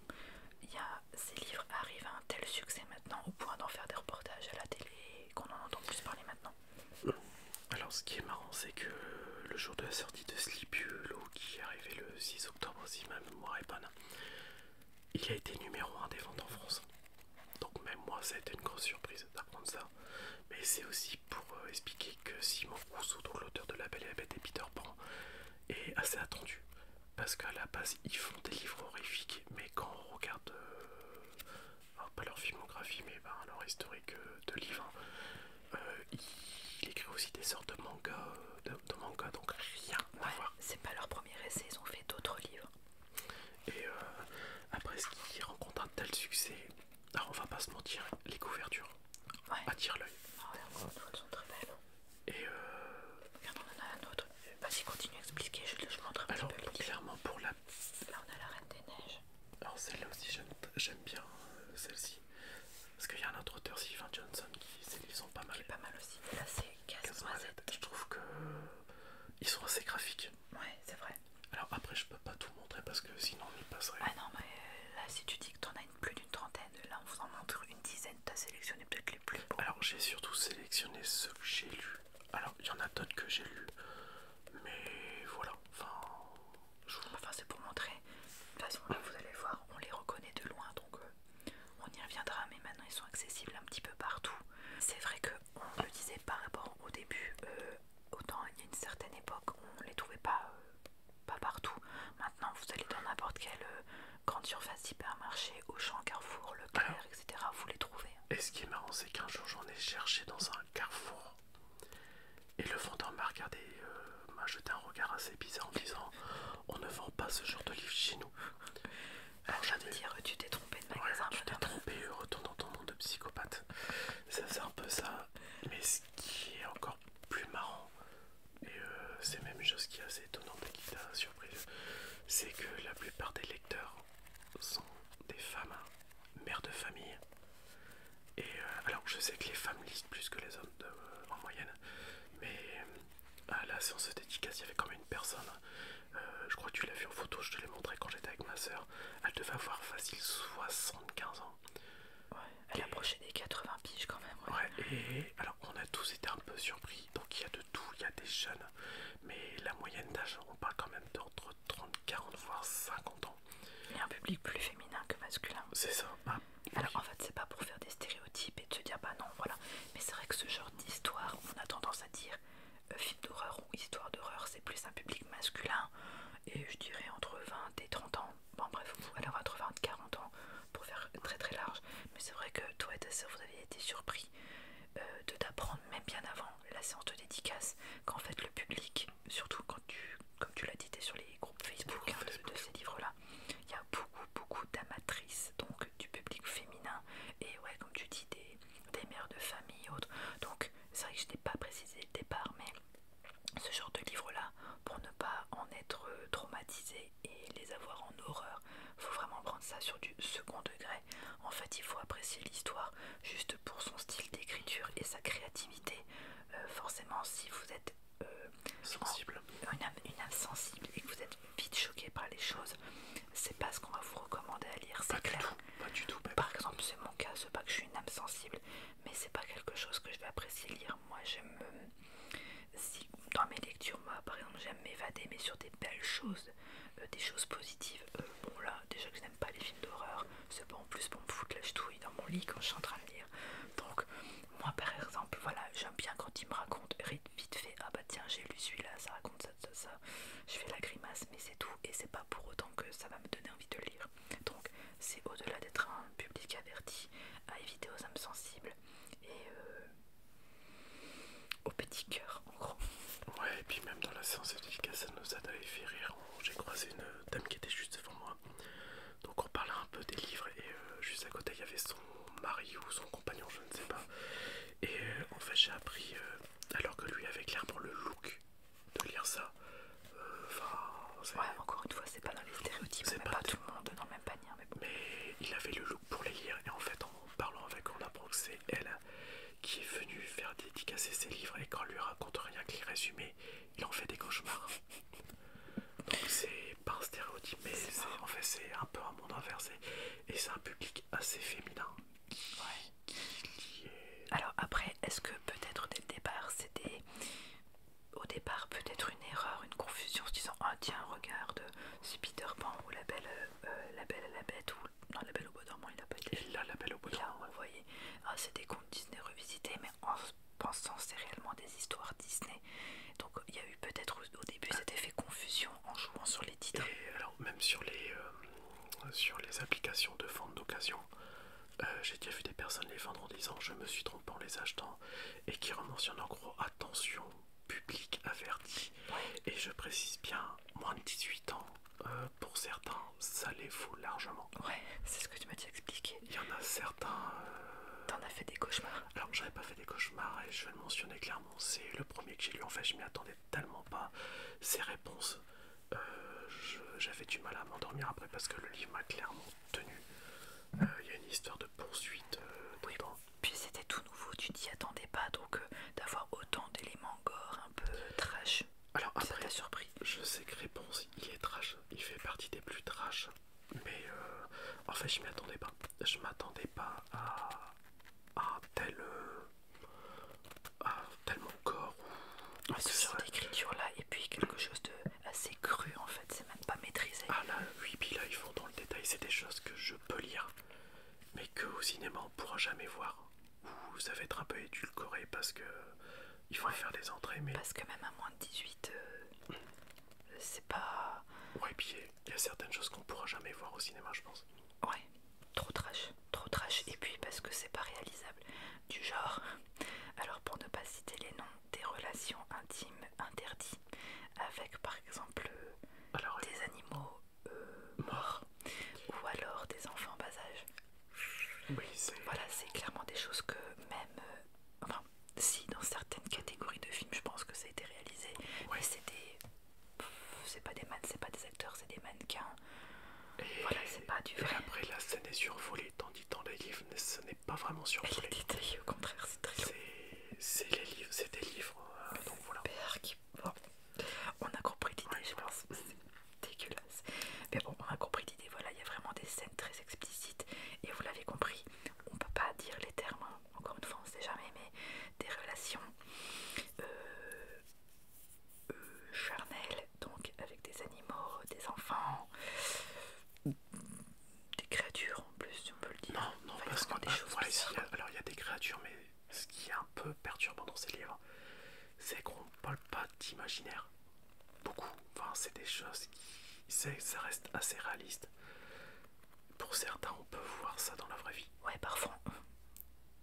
il y a, ces livres arrivent à un tel succès maintenant au point d'en faire des reportages à la télé qu'on en entend plus parler maintenant. Alors ce qui est marrant c'est que le jour de la sortie de Sleepy Hollow qui est arrivé le 6 octobre si ma mémoire est bonne, il a été numéro 1 des ventes en France. Donc même moi ça a été une grosse surprise d'apprendre ça. Mais c'est aussi pour euh, expliquer que Simon Rousseau, l'auteur de La Belle et la Bête et Peter Pan, est assez attendu parce qu'à la base ils font des livres horrifiques, mais quand on regarde, euh, pas leur filmographie, mais ben, leur historique euh, de livres, euh, ils écrivent aussi des sortes de mangas, de, manga, donc rien à voir. C'est pas leur premier essai, ils ont fait d'autres livres. Et après, ce qui rencontre un tel succès, alors on va pas se mentir, les couvertures attirent l'œil. Ah elles sont très belles. Et euh... Regarde, on en a un autre. Vas-y, continue à expliquer, je, le montre un Alors, clairement, pour la... Là, on a la Reine des Neiges. Alors, celle-là aussi, j'aime bien euh, celle-ci. Parce qu'il y a un autre auteur, Sylvain Johnson, qui est sont pas mal. Pas mal aussi. Là, c'est casse-noisette. Je trouve que euh, ils sont assez graphiques. Ouais, c'est vrai. Alors après, je peux pas tout montrer parce que sinon on y passerait. Ah non, mais euh, là, si tu dis que t'en as plus d'une trentaine, là, on vous en montre une dizaine t'as sélectionné peut-être les plus Alors j'ai surtout sélectionné ceux que j'ai lu Alors il y en a d'autres que j'ai lu mais voilà. Enfin, c'est pour montrer. De toute façon là vous allez voir, on les reconnaît de loin, donc euh, on y reviendra. Mais maintenant ils sont accessibles un petit peu partout. C'est vrai que on le disait par rapport au début. Euh, autant il y a une certaine époque, on les trouvait pas, euh, pas partout. Maintenant vous allez dans n'importe quelle grande surface hypermarché au champ Carrefour, Leclerc, etc. Vous les trouvez. Hein. Et ce qui est marrant, c'est qu'un jour j'en ai cherché dans un Carrefour et le vendeur m'a regardé, euh, m'a jeté un regard assez bizarre en disant On ne vend pas ce genre de livre chez nous. Ah, Alors j'allais dire Tu t'es trompé de magasin. tu t'es trompé, retourne dans ton nom de psychopathe. ça c'est un peu ça. Mais ce qui est encore plus marrant, et euh, c'est même une chose qui est assez étonnante et qui t'a surprise, c'est que la plupart des lecteurs sont des femmes, hein. mères de famille. Et euh, alors je sais que les femmes lisent plus que les hommes euh, en moyenne, mais euh, à la séance de dédicace, il y avait quand même une personne. je crois que tu l'as vu en photo, je te l'ai montré quand j'étais avec ma soeur. Elle devait avoir facile 75 ans. Ouais, elle approchait des 80 piges quand même. et alors on a tous été un peu surpris. Donc il y a il y a des jeunes, mais la moyenne d'âge, on parle quand même d'entre 30, 40, voire 50 ans. Il y a un public plus féminin que masculin. C'est ça. Ah. Alors en fait, c'est pas pour faire des stéréotypes et de se dire bah non, voilà. Mais c'est vrai que ce genre d'histoire, on a tendance à dire euh, film d'horreur ou histoire d'horreur, c'est plus un public masculin. Et je dirais entre 20 et 30 ans. Bon, bref, avoir entre 20 et 40 ans, pour faire très très large. Mais c'est vrai que toi et vous avez été surpris euh, de t'apprendre, même bien avant la séance de dédicace, qu'en fait le public, surtout quand tu, comme tu l'as dit, tu es sur les groupes hein, Facebook, de, ces livres-là, il y a beaucoup beaucoup d'amatrices, donc du public féminin, et ouais, comme tu dis, des, mères de famille, autres. Donc c'est vrai que je n'ai pas précisé le départ, mais ce genre de livre-là, pour ne pas en être euh, traumatisé et, les avoir en horreur. Faut vraiment prendre ça sur du second degré. En fait, il faut apprécier l'histoire juste pour son style d'écriture et sa créativité. Euh, forcément, si vous êtes euh, sensible, une, âme, sensible et que vous êtes vite choqué par les choses, c'est pas ce qu'on va vous recommander à lire. C'est clair. Du tout, pas du tout. Par exemple, c'est mon cas, c'est pas que je suis une âme sensible, mais c'est pas quelque chose que je vais apprécier lire. Moi, j'aime euh, si dans mes lectures, moi par exemple, j'aime m'évader, mais sur des belles choses, euh, des choses positives. Euh, bon, là, déjà que je n'aime pas les films d'horreur, c'est pas en plus bon me foutre la ch'touille dans mon lit quand je suis en train de lire. Donc, moi par exemple, voilà, j'aime bien quand ils me racontent vite fait Ah bah tiens, j'ai lu celui-là, ça raconte ça, ça, ça. Je fais la grimace, mais c'est tout, et c'est pas pour autant que ça va me donner envie de lire. Donc, c'est au-delà d'être un public averti à éviter aux âmes sensibles. Et euh, au petit cœur en gros. Ouais, et puis même dans la séance de dédicace, ça nous a fait rire. J'ai croisé une dame qui était juste devant moi. Donc on parlait un peu des livres et euh, juste à côté il y avait son mari ou son compagnon, je ne sais pas. Et euh, en fait j'ai appris, euh, alors que lui avait clairement le look de lire ça. Enfin, ouais, encore une fois, c'est pas dans les stéréotypes, c'est pas, tout le monde dans le même panier. Mais, mais il avait le look pour les lire et en fait en parlant avec on apprend que c'est elle qui est venue faire dédicacer ses livres et quand on lui raconte rien que les résumés il en fait des cauchemars donc c'est pas un stéréotype mais en fait c'est un peu un monde inversé et c'est un public assez féminin alors après est-ce que peut-être dès le départ c'était au départ peut-être une erreur une confusion en se disant ah, tiens regarde c'est Peter Pan ou la belle euh, euh, la Belle et la Bête ou non, La Belle au bois dormant, il a pas été. Il La Belle au bois dormant. voyez Ah, c'est des contes Disney revisités, mais en pensant c'est réellement des histoires Disney. Donc il y a eu peut-être au début cet effet confusion en jouant sur les titres. alors même sur les euh, sur les applications de vente d'occasion. Euh, j'ai déjà vu des personnes les vendre en disant je me suis trompé en les achetant et qui rementionnent en gros attention public averti. Et je précise bien, moins de 18 ans, euh, pour certains, ça les faut largement. Ouais, c'est ce que tu m'as dit expliqué. Il y en a certains... Euh, T'en as fait des cauchemars Alors, j'avais pas fait des cauchemars, et je vais le mentionner clairement, c'est le premier que j'ai lu. En fait, je m'y attendais tellement pas. Ses réponses, euh, j'avais du mal à m'endormir après, parce que le livre m'a clairement tenu. Il y a une histoire de poursuite très puis c'était tout nouveau, tu t'y attendais pas, donc euh, d'avoir autant d'éléments gore un peu trash. Alors après, la surprise Je sais que Réponse, il est trash, il fait partie des plus trash, mais euh, en fait je m'y attendais pas. Je m'attendais pas à, tel, euh, à tellement gore. Ou... ce là, et puis quelque chose de assez cru en fait, c'est même pas maîtrisé. Ah là, oui, puis là ils font dans le détail, c'est des choses que je peux lire mais que au cinéma on pourra jamais voir. Ou ça va être un peu édulcoré parce que il faut faire des entrées. Mais... Parce que même à moins de 18, euh, c'est pas. Ouais, et puis il y a certaines choses qu'on pourra jamais voir au cinéma, je pense. Ouais, trop trash, trop trash. Et puis parce que c'est pas réalisable. Du genre, alors pour ne pas citer les noms, des relations intimes interdites avec par exemple des animaux ou alors des enfants en bas âge. voilà, c'est clairement des choses que même. Euh, enfin, si dans certaines catégories de films, je pense que ça a été réalisé, mais c'est pas des manne c'est pas des acteurs, c'est des mannequins. c'est pas du vrai. après, la scène est survolée, tandis que dans les livres, ce n'est pas vraiment survolé. au contraire, c'est très. C'est des livres, livres. Hein, donc voilà. Bon. On a compris l'idée, je pense. C'est dégueulasse. Mais bon, on a compris l'idée. Voilà, il y a vraiment des scènes très explicites. Et vous l'avez compris, on peut pas dire les termes. Hein. Encore une fois, on sait jamais, mais des relations euh, euh, charnelles, donc avec des animaux, des enfants, des créatures en plus, on peut le dire. Non, non, parce que des ah, alors il y a des créatures, mais ce qui est un peu perturbant dans ces livres, c'est qu'on ne parle pas d'imaginaire. Beaucoup. Enfin, c'est des choses qui. Ça reste assez réaliste. Pour certains, on peut voir ça dans la vraie vie. Ouais, parfois.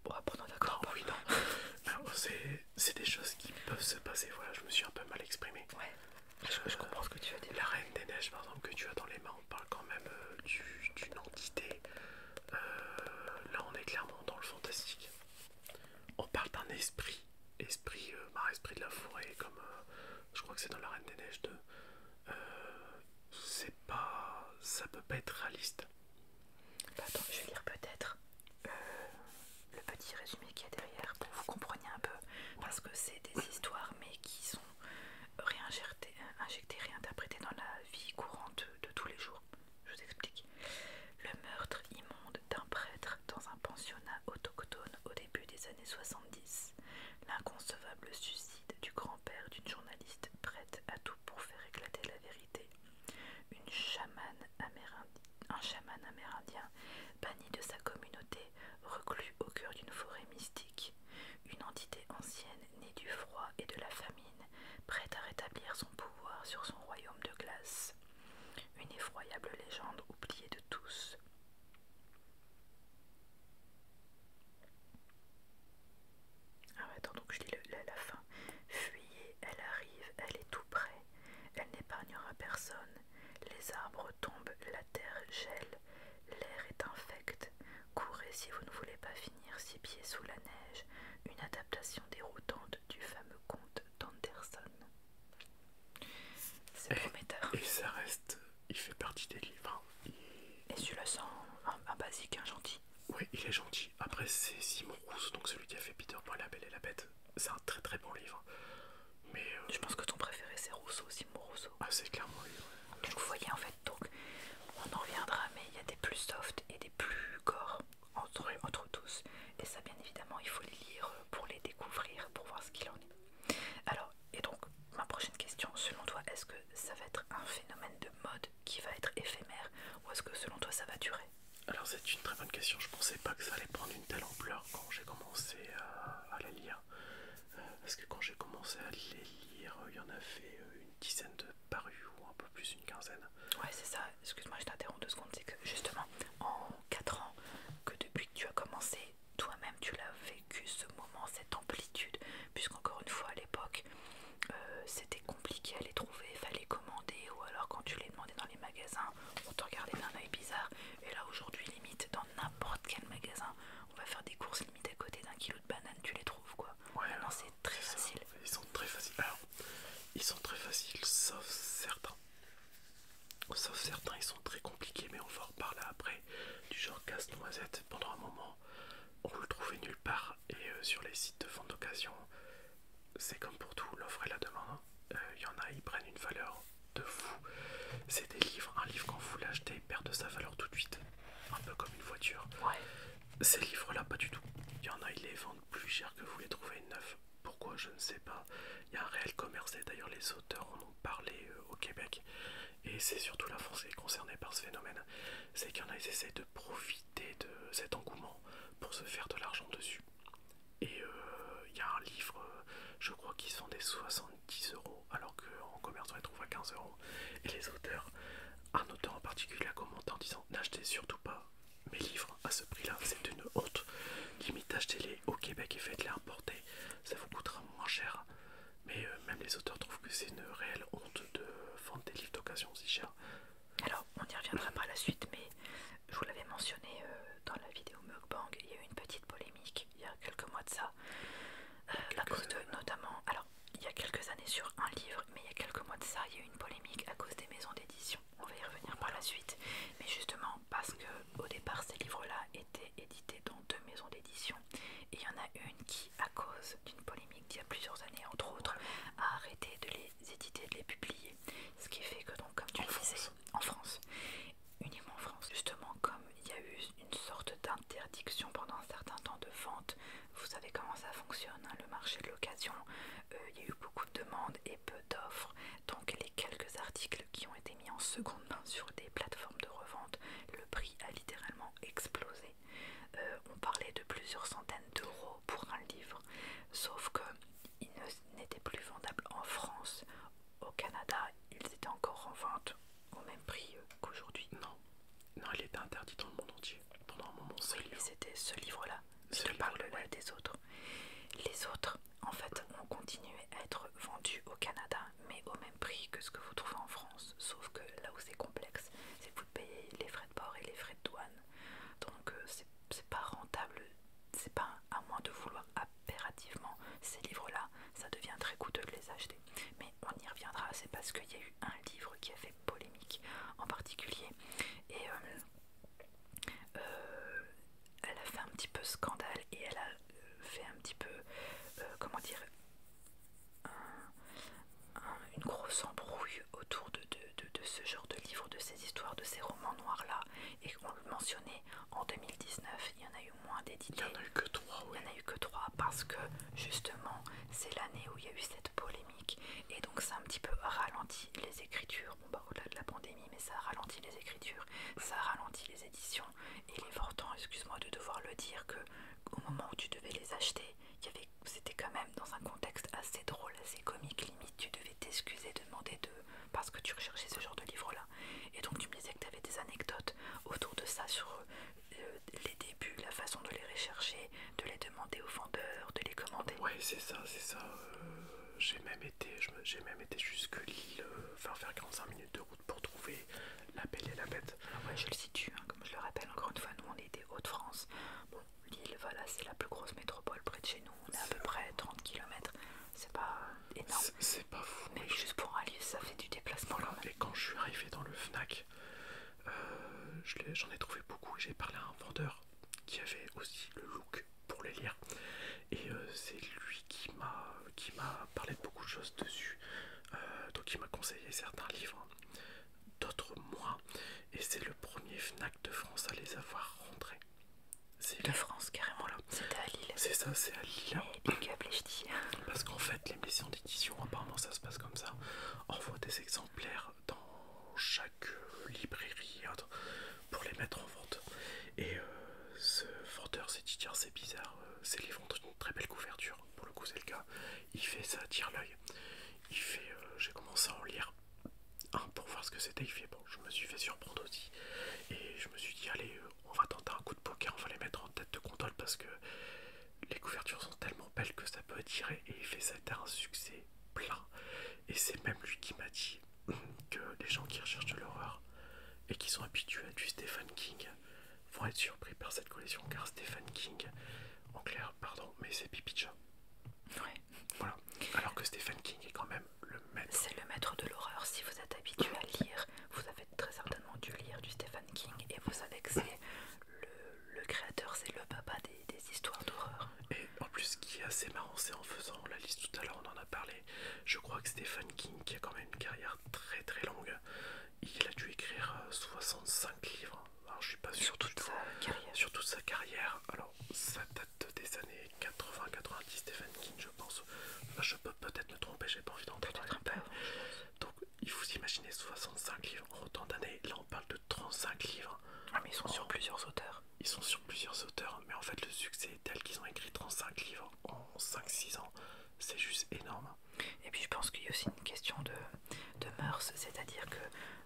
Bon, après, d'accord. Ah oui, non. c'est des choses qui peuvent se passer. Voilà, je me suis un peu mal exprimé. Ouais. Je, euh, comprends ce que tu veux dire. La reine des neiges, par exemple, que tu as dans les mains, on parle quand même euh, d'une entité. Euh, là, on est clairement dans le fantastique. On parle d'un esprit, esprit, marre euh, bah, esprit de la forêt, comme je crois que c'est dans La Reine des Neiges 2. c'est pas, ça peut pas être réaliste. Bah, attends, je vais lire peut-être le petit résumé qu'il y a derrière pour que vous compreniez un peu, parce que c'est des histoires mais qui sont réinjecté réinterprété dans la vie courante de tous les jours. Je vous explique. Le meurtre immonde d'un prêtre dans un pensionnat autochtone au début des années 70. L'inconcevable suicide du grand-père d'une journaliste prête à tout pour faire éclater la vérité. Une chamane un chaman amérindien banni de sa communauté, reclus au cœur d'une forêt mystique. Une entité ancienne née du froid et de la famine, prête à rétablir son pouvoir sur son royaume de glace. Une effroyable légende oubliée de tous. Ah attends, donc je lis la fin. Fuyez, elle arrive, elle est tout près. Elle n'épargnera personne. Les arbres tombent, la terre gèle, L'air est infect. Courez si vous ne voulez pas finir six pieds sous la neige. Une adaptation déroutante du fameux conte d'Anderson. C'est prometteur. Et ça reste. Il fait partie des livres. Hein. Et celui-là, c'est un, basique, un gentil. Oui, il est gentil. Après, c'est Simon Rousseau, donc celui qui a fait Peter Pan, la Belle et la Bête. C'est un très très bon livre. Mais. Euh, Je pense que ton préféré, c'est Rousseau, Simon Rousseau. Ah, c'est clairement lui, vous voyez, en fait, donc on en reviendra, mais il y a des plus soft et des plus corps entre, entre tous. Et ça, bien évidemment, il faut les lire pour les découvrir, pour voir ce qu'il en est. Alors, et donc, ma prochaine question, selon toi, est-ce que ça va être un phénomène de mode qui va être éphémère ou est-ce que selon toi ça va durer Alors, c'est une très bonne question. Je pensais pas que ça allait prendre une telle ampleur quand j'ai commencé à, à lire. Euh, parce que quand j'ai commencé à les lire, il y en a fait euh, dizaines de parus ou un peu plus, une quinzaine. Ouais, c'est ça. Excuse-moi, je t'interromps deux secondes. C'est que justement, en quatre ans, que depuis que tu as commencé, toi-même, tu l'as vécu ce moment, cette amplitude, puisqu'encore une fois, à l'époque, euh, c'était compliqué à les trouver, fallait commander, ou alors quand tu les demandais dans les magasins, on te regardait d'un oeil bizarre. Et là, aujourd'hui, limite, dans n'importe quel magasin, on va faire des courses limite à côté d'un kilo tu les trouves quoi. c'est très facile. Ils sont très faciles. ils sont très faciles, sauf certains. Sauf certains, ils sont très compliqués, mais on va en reparler après. Du genre casse-noisette, pendant un moment, on le trouvait nulle part. Et euh, sur les sites de vente d'occasion, c'est comme pour tout, l'offre et la demande. Euh, il y en a, ils prennent une valeur de fou. C'est des livres, un livre quand vous l'achetez perd de sa valeur tout de suite un peu comme une voiture. Ces livres-là, pas du tout. Il y en a, ils les vendent plus cher que vous les trouvez neufs. Pourquoi Je ne sais pas. Il y a un réel commerce et d'ailleurs les auteurs en ont parlé euh, au Québec. Et c'est surtout la France est concernée par ce phénomène. C'est qu'il y en a, ils essaient de profiter de cet engouement pour se faire de l'argent dessus. Et euh, il y a un livre, euh, je crois qu'ils sont des 70 euros alors qu'en commerce on les trouve à 15 euros. Et les auteurs un auteur en particulier a commenté en disant N'achetez surtout pas mes livres à ce prix-là, c'est une honte. Limite, achetez-les au Québec et faites-les importer, ça vous coûtera moins cher. Mais euh, même les auteurs trouvent que c'est une réelle honte de vendre des livres d'occasion si cher. Alors, on y reviendra par la suite, mais je vous l'avais mentionné euh, dans la vidéo Mugbang, il y a eu une petite polémique il y a quelques mois de ça, euh, la à cause de, notamment, alors il y a quelques années sur un livre, mais il y a quelques mois de ça, il y a eu une polémique à cause des maisons d'édition. On va y revenir par la suite. Mais justement, parce que au départ, ces livres-là étaient édités dans deux maisons d'édition. Et il y en a une qui, à cause d'une polémique d'il y a plusieurs années, entre autres, a arrêté de les éditer, de les publier. Ce qui fait que, donc, comme tu le disais, en France, uniquement en France, justement, comme il y a eu une sorte d'interdiction pendant un certain temps de vente. Vous savez comment ça fonctionne, hein, le marché de l'occasion. Euh, il y a eu beaucoup de demandes et peu d'offres. Donc les quelques articles qui ont été mis en seconde main sur des plateformes de revente, le prix a littéralement explosé. Euh, on parlait de plusieurs centaines d'euros pour un livre, sauf qu'ils n'était plus vendable en France. Au Canada, ils étaient encore en vente au même prix euh, qu'aujourd'hui Non, non, il était interdit dans le monde entier pendant un moment. c'était ce livre-là. Je parle là des autres. Les autres, en fait, ont continué à être vendus au Canada, mais au même prix que ce que vous trouvez en France. Sauf que là où c'est complexe, c'est que vous payez les frais de port et les frais de douane. Donc euh, c'est pas rentable. C'est pas à moins de vouloir impérativement ces livres-là, ça devient très coûteux de les acheter. Mais on y reviendra, c'est parce qu'il y a eu un livre qui a fait polémique en particulier et euh, euh, elle a fait un petit peu scandale et elle a euh, fait un petit peu, comment dire, une grosse embrouille autour de, ce genre de livre, de ces histoires, de ces romans noirs là et on le mentionnait en 2019, il y en a eu moins d'éditeurs. Il n'y en a eu que trois parce que justement c'est l'année où il y a eu cette polémique et donc ça a un petit peu ralenti les écritures. Bon, bah au-delà de la pandémie, mais ça a ralenti les écritures, ça a ralenti les éditions. Et il est temps, excuse-moi de devoir le dire, que au moment où tu devais les acheter, c'était quand même dans un contexte assez drôle, assez comique, limite tu devais t'excuser, demander de parce que tu recherchais ce genre de livre là. Et donc tu me disais que tu avais des anecdotes autour de ça sur euh, les débuts, la façon de les rechercher, de les demander aux vendeurs, de les commander. Ouais, c'est ça, c'est ça. Euh, j'ai même été, j'ai même été jusque Lille, enfin euh, faire 45 minutes de route pour trouver la Belle et la Bête. Ah je le situe, hein, comme je le rappelle encore une fois, nous on était Hauts-de-France. Bon, Lille, voilà, c'est la plus grosse métropole près de chez nous. On est, à peu près 30 km. C'est pas énorme. C'est pas fou. Mais juste pour aller ça fait du déplacement. Et quand je suis arrivé dans le Fnac, euh, j'en ai, trouvé beaucoup. J'ai parlé à un vendeur qui avait aussi le look pour les lire. Et euh, c'est lui qui m'a parlé de beaucoup de choses dessus. Euh, donc il m'a conseillé certains livres, d'autres moins. Et c'est le premier FNAC de France à les avoir rentrés. La France carrément là. C'était à Lille. C'est ça, c'est à Lille. Eh, Parce qu'en fait, les édition d'édition, apparemment ça se passe comme ça. Envoie des exemplaires dans chaque librairie hein, pour les mettre en vente. Et euh, ce vendeur c'est dit c'est bizarre, c'est les vendre une très belle couverture, pour le coup c'est le cas. Il fait ça, tire l'œil. Il fait euh, j'ai commencé à en lire un pour voir ce que c'était, il fait bon, je me suis fait surprendre aussi. Et je me suis dit allez, euh, on va tenter un coup de poker, on va les mettre en tête de gondole parce que les couvertures sont tellement belles que ça peut attirer et il fait ça un succès plat. Et c'est même lui qui m'a dit que les gens qui recherchent de l'horreur et qui sont habitués à du Stephen King vont être surpris par cette collection car Stephen King, en clair, pardon, mais c'est Pipicha. Ouais. Voilà. Alors que Stephen King est quand même le maître. C'est le maître de l'horreur. Si vous êtes habitué à lire, vous avez très certainement dû lire du Stephen King et vous savez que c'est le le créateur, c'est le papa des, histoires d'horreur. Et en plus, ce qui est assez marrant, c'est en faisant la liste tout à l'heure, on en a parlé. Je crois que Stephen King, qui a quand même une carrière très très longue, il a dû écrire 65 euh, livres. Alors, je suis pas sûr sur toute sa carrière. Sur toute sa carrière. Alors, ça date des années 80-90, Stephen King, je pense. je peux peut-être me tromper, j'ai pas envie d'entrer dans il faut s'imaginer 65 livres en autant d'années. Là, on parle de 35 livres. Ah, mais ils sont sur plusieurs auteurs. Ils sont sur plusieurs auteurs, mais en fait, le succès tel qu'ils ont écrit 35 livres en 5-6 ans. C'est juste énorme. Et puis, je pense qu'il y a aussi une question de, de mœurs, c'est-à-dire que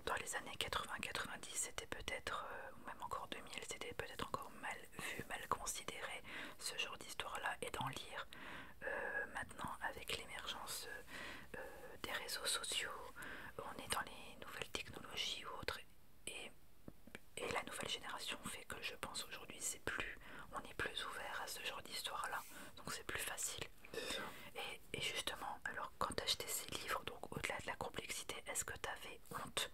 dans les années 80-90, c'était peut-être, euh, ou même encore 2000, c'était peut-être encore mal vu, mal considéré ce genre d'histoire-là, et d'en lire. Euh, maintenant, avec l'émergence euh, des réseaux sociaux, on est dans les nouvelles technologies ou autres, et, la nouvelle génération fait que je pense aujourd'hui, c'est plus, on est plus ouvert à ce genre d'histoire-là, donc c'est plus facile. Et, justement, alors quand tu acheté ces livres, donc au-delà de la complexité, est-ce que tu avais honte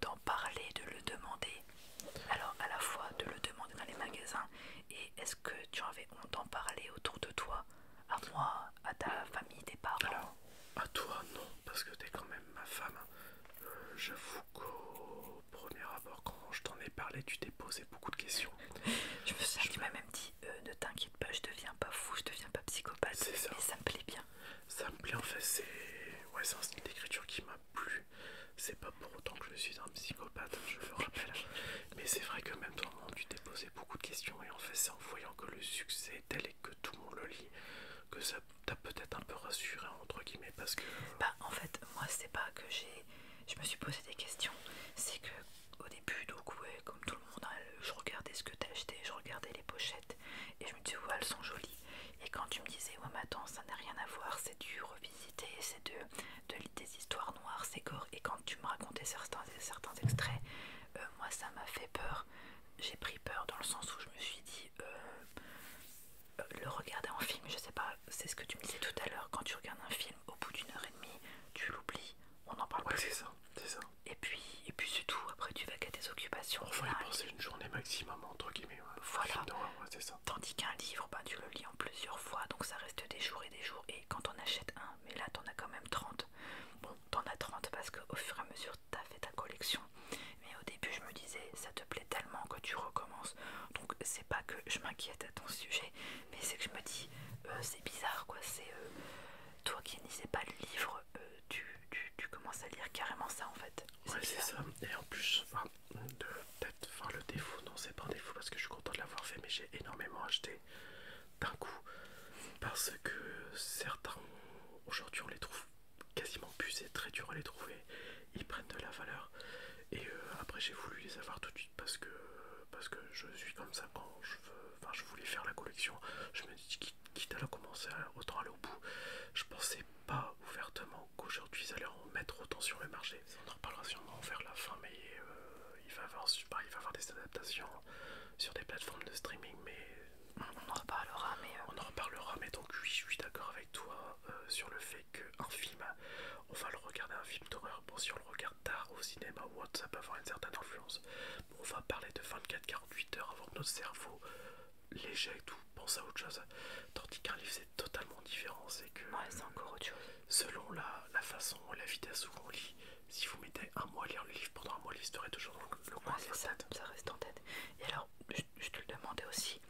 d'en parler, de le demander Alors à la fois de le demander dans les magasins et est-ce que tu en avais honte d'en parler autour de toi À moi, à ta famille, tes parents à toi, non, parce que t'es quand même ma femme. Je euh, J'avoue qu'au premier abord, quand je t'en ai parlé, tu t'es posé beaucoup de questions. je me suis je... même dit euh, ne t'inquiète pas, je deviens pas fou, je deviens pas psychopathe. Ça. ça me plaît bien. Ça me plaît en fait, c'est ouais, un style d'écriture qui m'a plu. C'est pas pour autant que je suis un psychopathe, je le rappelle. Mais c'est vrai que même dans le monde, tu t'es posé beaucoup de questions et en fait, c'est en voyant que le succès est tel et que tout le monde le lit que ça t'a peut-être un peu rassuré entre guillemets parce que. Euh, bah en fait, moi c'est pas que j'ai, je me suis posé des questions, c'est que au début donc ouais, comme tout le monde, hein, je regardais ce que t'as acheté, je regardais les pochettes et je me disais ouais elles sont jolies. Et quand tu me disais ouais mais attends ça n'a rien à voir, c'est du revisiter, c'est de, de des histoires noires, c'est gore. Et quand tu me racontais certains, certains extraits, euh, moi ça m'a fait peur. J'ai pris peur dans le sens où je me suis dit, euh, euh, le regarder en film, je sais pas, c'est ce que tu me disais tout à l'heure, quand tu regardes un film, au bout d'une heure et demie, tu l'oublies, on en parle ouais, c'est ça, c'est ça. Et puis, et puis c'est tout, après tu vas qu'à tes occupations. va y penser une journée maximum, entre guillemets. Voilà. Tandis qu'un livre, ben, tu le lis en plusieurs fois, donc ça reste des jours et des jours. Et quand on achète un, mais là t'en as quand même 30. Bon, t'en as 30 parce qu'au fur et à mesure t'as fait ta collection. Mais au début, je me disais, ça te plaît tellement que tu recommences. Donc c'est pas que je m'inquiète à ton sujet, mais c'est que je me dis, euh, c'est bizarre quoi. C'est euh, toi qui n'y sais pas le livre, euh, tu, commences à lire carrément ça en fait. Ouais, c'est ça. Et en plus, Enfin le défaut. Non, c'est pas un défaut parce que je suis content de l'avoir fait, mais j'ai énormément acheté d'un coup parce que certains aujourd'hui on les trouve quasiment plus, très dur à les trouver. Ils prennent de la valeur et euh, après j'ai voulu les avoir tout de suite parce que parce que je suis comme ça quand je veux. Enfin, je voulais faire la collection. Je me dis quitte à la commencer, autant aller au bout. Je pensais pas ouvertement qu'aujourd'hui ils allaient en mettre autant sur le marché. On en reparlera sûrement vers la fin, mais euh, il, va avoir, bah, il va avoir des adaptations sur des plateformes de streaming, mais on en reparlera. Mais euh, on en reparlera, mais donc oui, je suis d'accord avec toi euh, sur le fait qu'un film, on va le regarder un film d'horreur. Bon, si on le regarde tard au cinéma ou autre, ça peut avoir une certaine influence. on va parler de 24-48 heures avant que notre cerveau l'éjecte ou pense à autre chose, tandis qu'un livre c'est totalement différent, c'est que ouais, c'est encore autre chose selon la, la façon la vitesse où on lit. Si vous mettez un mois à lire le livre, pendant un mois, l'histoire est toujours dans le, ça, ça reste en tête. Et alors, je, te le demandais aussi,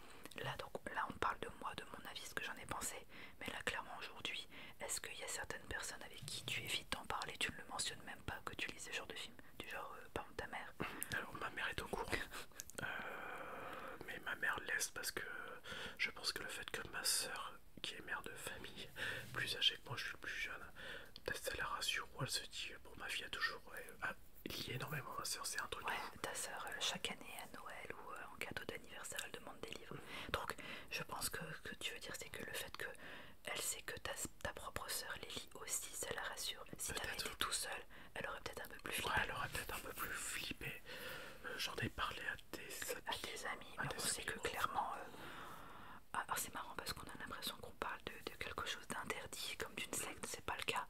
là, donc, là on parle de moi, de mon avis, ce que j'en ai pensé, mais là clairement aujourd'hui, est-ce qu'il y a certaines personnes avec qui tu évites d'en parler, tu ne le mentionnes même pas que tu lis ce genre de film, du genre, euh, par exemple, ta mère Alors ma mère est au courant, euh, mais ma mère laisse parce que je pense que le fait que ma soeur qui est mère de famille, plus âgée que moi, je suis plus jeune, ça la rassure ou elle se dit, bon, ma fille a toujours ah, lié énormément à sa c'est un truc. ta soeur, euh, chaque année à Noël ou euh, en cadeau d'anniversaire, elle demande des livres. Mm. Donc, je pense que ce que tu veux dire, c'est que le fait que elle sait que ta, ta propre soeur les lit aussi, ça la rassure. Si t'avais été tout seul, elle aurait peut-être un peu plus flippé. elle aurait peut-être un peu plus flippé. Euh, j'en ai parlé à à des amis, on sait que clairement. Euh, Alors ah, ah, c'est marrant parce qu'on a l'impression qu'on parle de, quelque chose d'interdit, comme d'une secte, c'est pas le cas.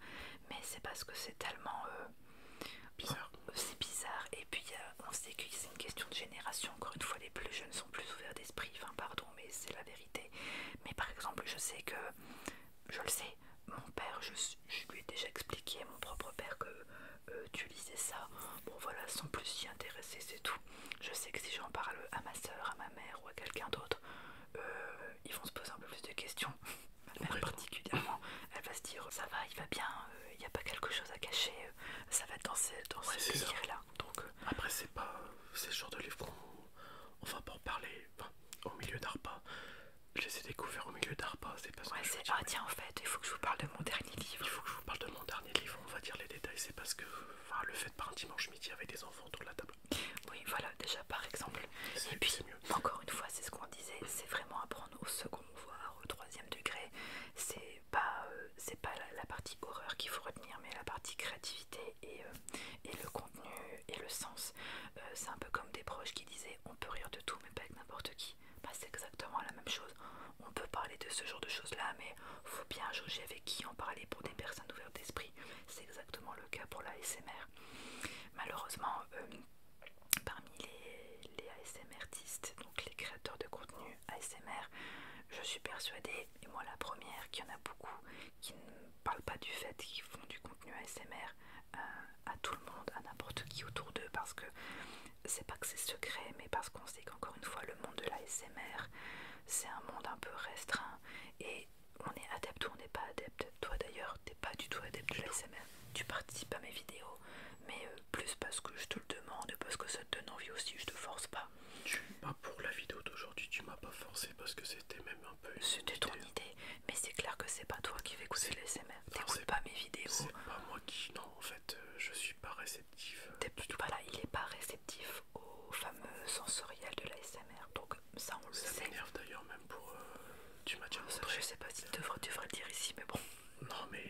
Mais c'est parce que c'est tellement. Euh, bizarre. C'est bizarre. Et puis euh, on sait que c'est une question de génération. Encore une fois, les plus jeunes sont plus ouverts d'esprit. Enfin, pardon, mais c'est la vérité. Mais par exemple, je sais que. Je le sais, mon père, je, je lui ai déjà expliqué, mon propre père, que tu euh, lisais ça. Bon voilà, sans plus s'y intéresser, c'est tout. Je sais que si j'en parle à ma soeur, à ma mère ou à quelqu'un d'autre, euh, ils vont se poser un peu plus de questions. Ma mère particulièrement, elle va se dire ça va, il va bien, euh, il n'y a pas quelque chose à cacher, ça va être dans, ces, dans là Donc Après c'est pas ces genre de livre qu'on va pas en parler au milieu d'Arpa. Je les ai découverts au milieu d'Arpa, c'est pas Ouais, c'est il faut que je vous parle de mon dernier livre. Il faut que je vous parle de mon dernier livre, on va dire les détails. C'est parce que le fait de un dimanche midi avec des enfants autour de la table. Oui, voilà, déjà par exemple. Et puis, encore une fois, c'est ce qu'on disait, c'est vraiment apprendre au second, voire au troisième degré. C'est pas, euh, c'est pas la, partie horreur qu'il faut retenir, mais la partie créativité et, euh, le contenu et le sens. Euh, c'est un peu comme des proches qui disaient on peut rire de tout, mais pas avec n'importe qui. Bah, c'est exactement la même chose. On peut parler de ce genre de choses-là, mais faut bien juger avec qui en parler pour des personnes ouvertes d'esprit. C'est exactement le cas pour l'ASMR. Malheureusement, euh, parmi les, les ASMRtistes, donc les créateurs de contenu ASMR, je suis persuadée, et moi la première, qu'il y en a beaucoup qui ne parlent pas du fait qu'ils font du contenu ASMR euh, à tout le monde, à n'importe qui autour d'eux, parce que c'est pas que c'est secret, mais parce qu'on sait qu'encore une fois, le monde de l'ASMR, c'est un monde un peu restreint et on est adepte ou on n'est pas adepte. Toi d'ailleurs, t'es pas du tout adepte de l'ASMR. Tu participes à mes vidéos, mais euh, plus parce que je te le demande, parce que ça te donne envie aussi, je te force pas. Tu pas pour la vidéo d'aujourd'hui, tu m'as pas forcé parce que c'était même un peu. C'était ton idée, mais c'est clair que c'est pas toi qui vais écouter l'ASMR. T'écoutes pas mes vidéos. C'est pas moi qui. Non, en fait, euh, je suis pas réceptif. voilà, il est pas réceptif au fameux sensoriel de l'ASMR. Donc ça, on le sait. Ça m'énerve d'ailleurs même pour... Euh, tu m'as déjà montré... je sais pas si tu devrais, le dire ici, mais bon. Non, mais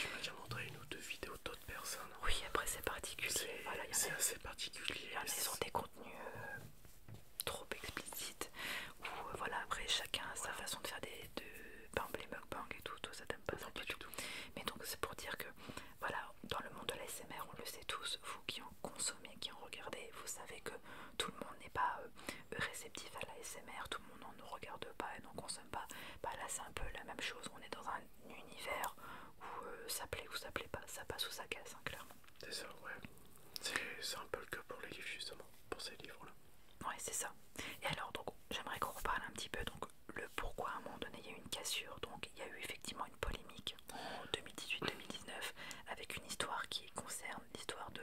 tu m'as déjà montré une ou deux vidéos d'autres personnes. Oui, après c'est particulier. Voilà, c'est assez particulier. Il y des contenus euh, trop explicites. Où voilà, après chacun a sa façon de faire des... Les et et tout, ça t'aime pas ça du tout. Mais donc c'est pour dire que voilà, dans le monde de l'ASMR, on le sait tous, vous qui en consommez, qui en regardez, vous savez que tout le monde n'est pas euh, réceptif à l'ASMR, tout le monde n'en regarde pas et n'en consomme pas. Bah, là c'est un peu la même chose, on est dans un univers où euh, ça plaît ou ça plaît pas, ça passe ou ça casse, hein, clairement. C'est ça, ouais. C'est un peu le cas pour les livres justement, pour ces livres-là. Ouais, c'est ça. Et alors, donc, j'aimerais qu'on reparle un petit peu. Donc, le pourquoi à un moment donné il y a eu une cassure. Donc, il y a eu effectivement une polémique en 2018-2019 avec une histoire qui concerne l'histoire de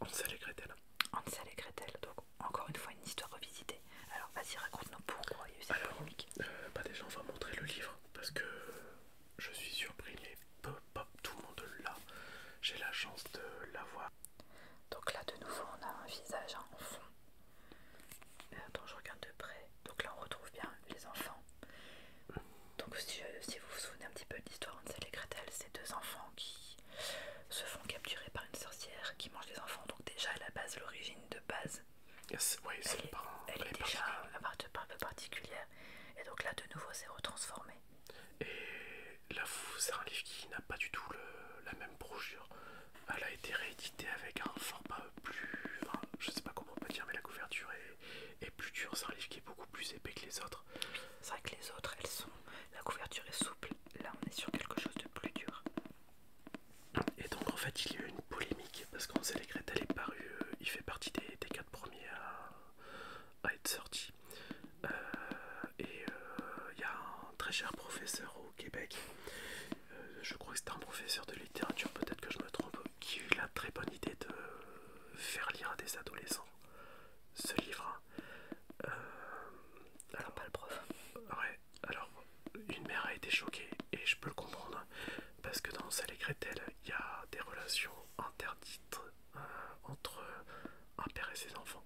Hansel et Gretel. Hansel et Gretel. Donc, encore une fois, une histoire revisitée. Alors, vas-y, raconte-nous pourquoi il y a eu cette polémique. Euh, bah, déjà, on va montrer le livre parce que je suis surpris, mais pop tout le monde l'a. J'ai la chance de l'avoir donc là de nouveau on a un visage en fond. Euh, je regarde de près. Donc là on retrouve bien les enfants. Donc si, euh, vous vous souvenez un petit peu de l'histoire sait et Gretel, c'est deux enfants qui se font capturer par une sorcière qui mange les enfants. Donc déjà à la base, l'origine de base, elle, est, déjà elle un peu particulière. Et donc là de nouveau c'est retransformé là c'est un livre qui n'a pas du tout la même brochure. Elle a été rééditée avec un format plus... je sais pas comment on peut dire, mais la couverture est, plus dure. C'est un livre qui est beaucoup plus épais que les autres. C'est vrai que les autres, elles sont... La couverture est souple. Là, on est sur quelque chose de plus dur. Et donc, en fait, il y a eu une polémique parce qu'on sait les elle est parue euh, il fait partie des, des quatre premiers à, être sortis. Euh, et il euh, y a un très cher professeur au Québec, euh, je crois que c'était un professeur de littérature, peut-être que je me trompe, qui a eu la très bonne idée de faire lire à des adolescents ce livre. Euh, alors pas le prof. Ouais, alors une mère a été choquée et je peux le comprendre parce que dans sa cretel il y a des relations interdites entre un père et ses enfants.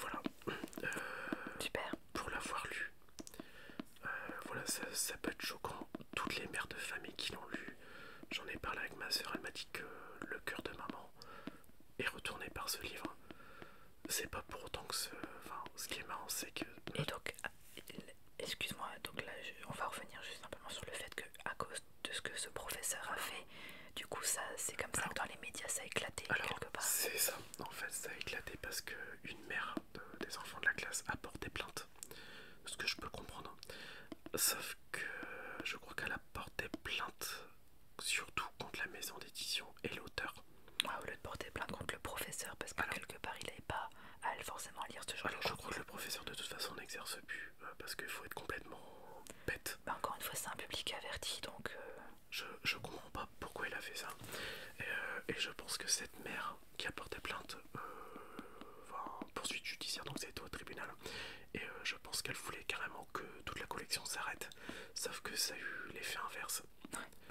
Voilà. Euh, Super. Pour l'avoir lu, euh, voilà, ça, peut être choquant. Toutes les mères de famille qui l'ont lu, j'en ai parlé avec ma soeur, elle m'a dit que le cœur de maman est retourné par ce livre. C'est pas pour autant que ce. Enfin, ce qui est marrant, c'est que. Et donc, excuse-moi, donc là, on va revenir juste simplement sur le fait que, à cause de ce que ce professeur a fait, du coup, ça, c'est comme ça que dans les médias ça a éclaté quelque part. C'est ça, en fait, ça a éclaté parce que une mère des enfants de la classe a porté plainte. Ce que je peux comprendre. Hein. Sauf que je crois qu'elle a porté plainte surtout contre la maison d'édition et l'auteur. Ouais, ah, au lieu de porter plainte contre le professeur, parce que quelque part il n'avait pas à forcément lire ce genre alors, Alors je crois que le professeur de toute façon n'exerce plus, euh, parce qu'il faut être complètement bête. Bah, encore une fois, c'est un public averti donc. Euh, je, je comprends pas pourquoi elle a fait ça. Euh, et, je pense que cette mère qui a porté plainte, euh, poursuite judiciaire, donc c'était au tribunal, et euh, je pense qu'elle voulait carrément que toute la collection s'arrête, sauf que ça a eu l'effet inverse.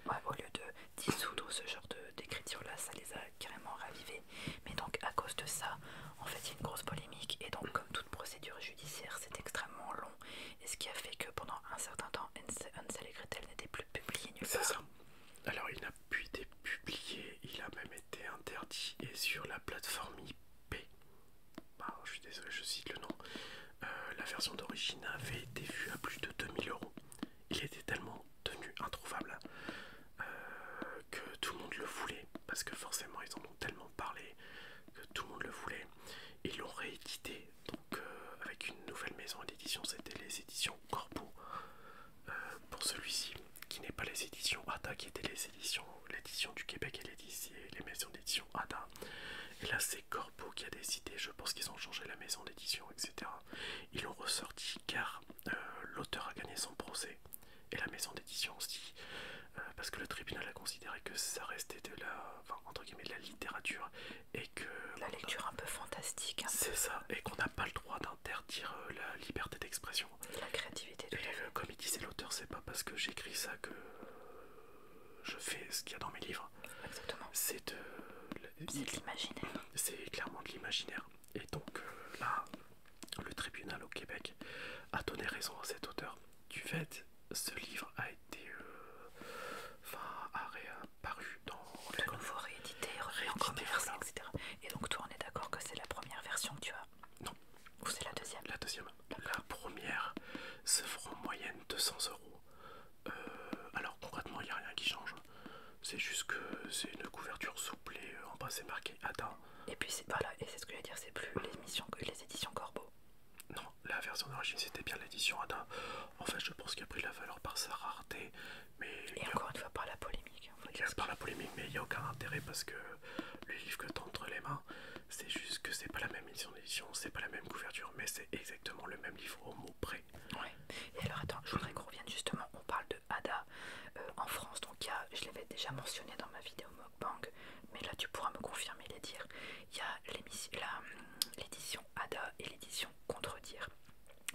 Ouais, au lieu de dissoudre ce genre d'écriture-là, ça les a carrément ravivés. Mais donc à cause de ça, en fait, il y a une grosse polémique, et donc comme toute procédure judiciaire, c'est extrêmement long, et ce qui a fait que pendant un certain temps, Hansel et Gretel n'était plus publié nulle part. C'est ça. Alors il n'a plus été publié, il a même été interdit, et sur la plateforme IP, bah, je suis désolé, je cite le nom, euh, la version d'origine avait été vue à plus de 2000 euros. Il était tellement tenu, introuvable euh, que tout le monde le voulait, parce que forcément ils en ont tellement parlé que tout le monde le voulait ils l'ont réédité donc, euh, avec une nouvelle maison d'édition, c'était les éditions Corbeau euh, pour celui-ci, qui n'est pas les éditions ADA, qui étaient les éditions l'édition du Québec et les, les maisons d'édition ADA. Et là c'est Corbeau qui a décidé, je pense qu'ils ont changé la maison d'édition, etc. Ils l'ont ressorti car euh, l'auteur a gagné son procès et la maison d'édition dit. Euh, parce que le tribunal a considéré que ça restait de la, entre guillemets, la littérature et que la lecture un peu fantastique. C'est ça, euh, et qu'on n'a pas le droit d'interdire euh, la liberté d'expression. La créativité. De comme il disait l'auteur, c'est pas parce que j'écris ça que je fais ce qu'il y a dans mes livres. Exactement. C'est de, de l'imaginaire. C'est clairement de l'imaginaire. Et donc là, le tribunal au Québec a donné raison à cet auteur du fait ce livre a été euh, a ré, dans de réédité, Et donc toi, on est d'accord que c'est la première version que tu as Non. Ou c'est la deuxième La deuxième. La première se fera en moyenne 200 euros. Euh, alors concrètement, il n'y a rien qui change. C'est juste que c'est une couverture souple euh, en bas c'est marqué attends Et puis voilà, et c'est ce que je veux dire, c'est plus les, les éditions Corbeau non, la version d'origine c'était bien l'édition Ada, En fait, je pense qu'il a pris la valeur par sa rareté. Mais Et encore une fois par la polémique. Hein, par la polémique, mais il n'y a aucun intérêt parce que le livre que as entre les mains, c'est juste que c'est pas la même édition d'édition, c'est pas la même couverture, mais c'est exactement le même livre au mot près. Ouais. Et alors attends, je voudrais qu'on revienne justement, on parle de Ada euh, en France, donc il je l'avais déjà mentionné dans ma vidéo mais là tu pourras me confirmer les dires. Il y a hum, l'édition Ada et l'édition Contredire.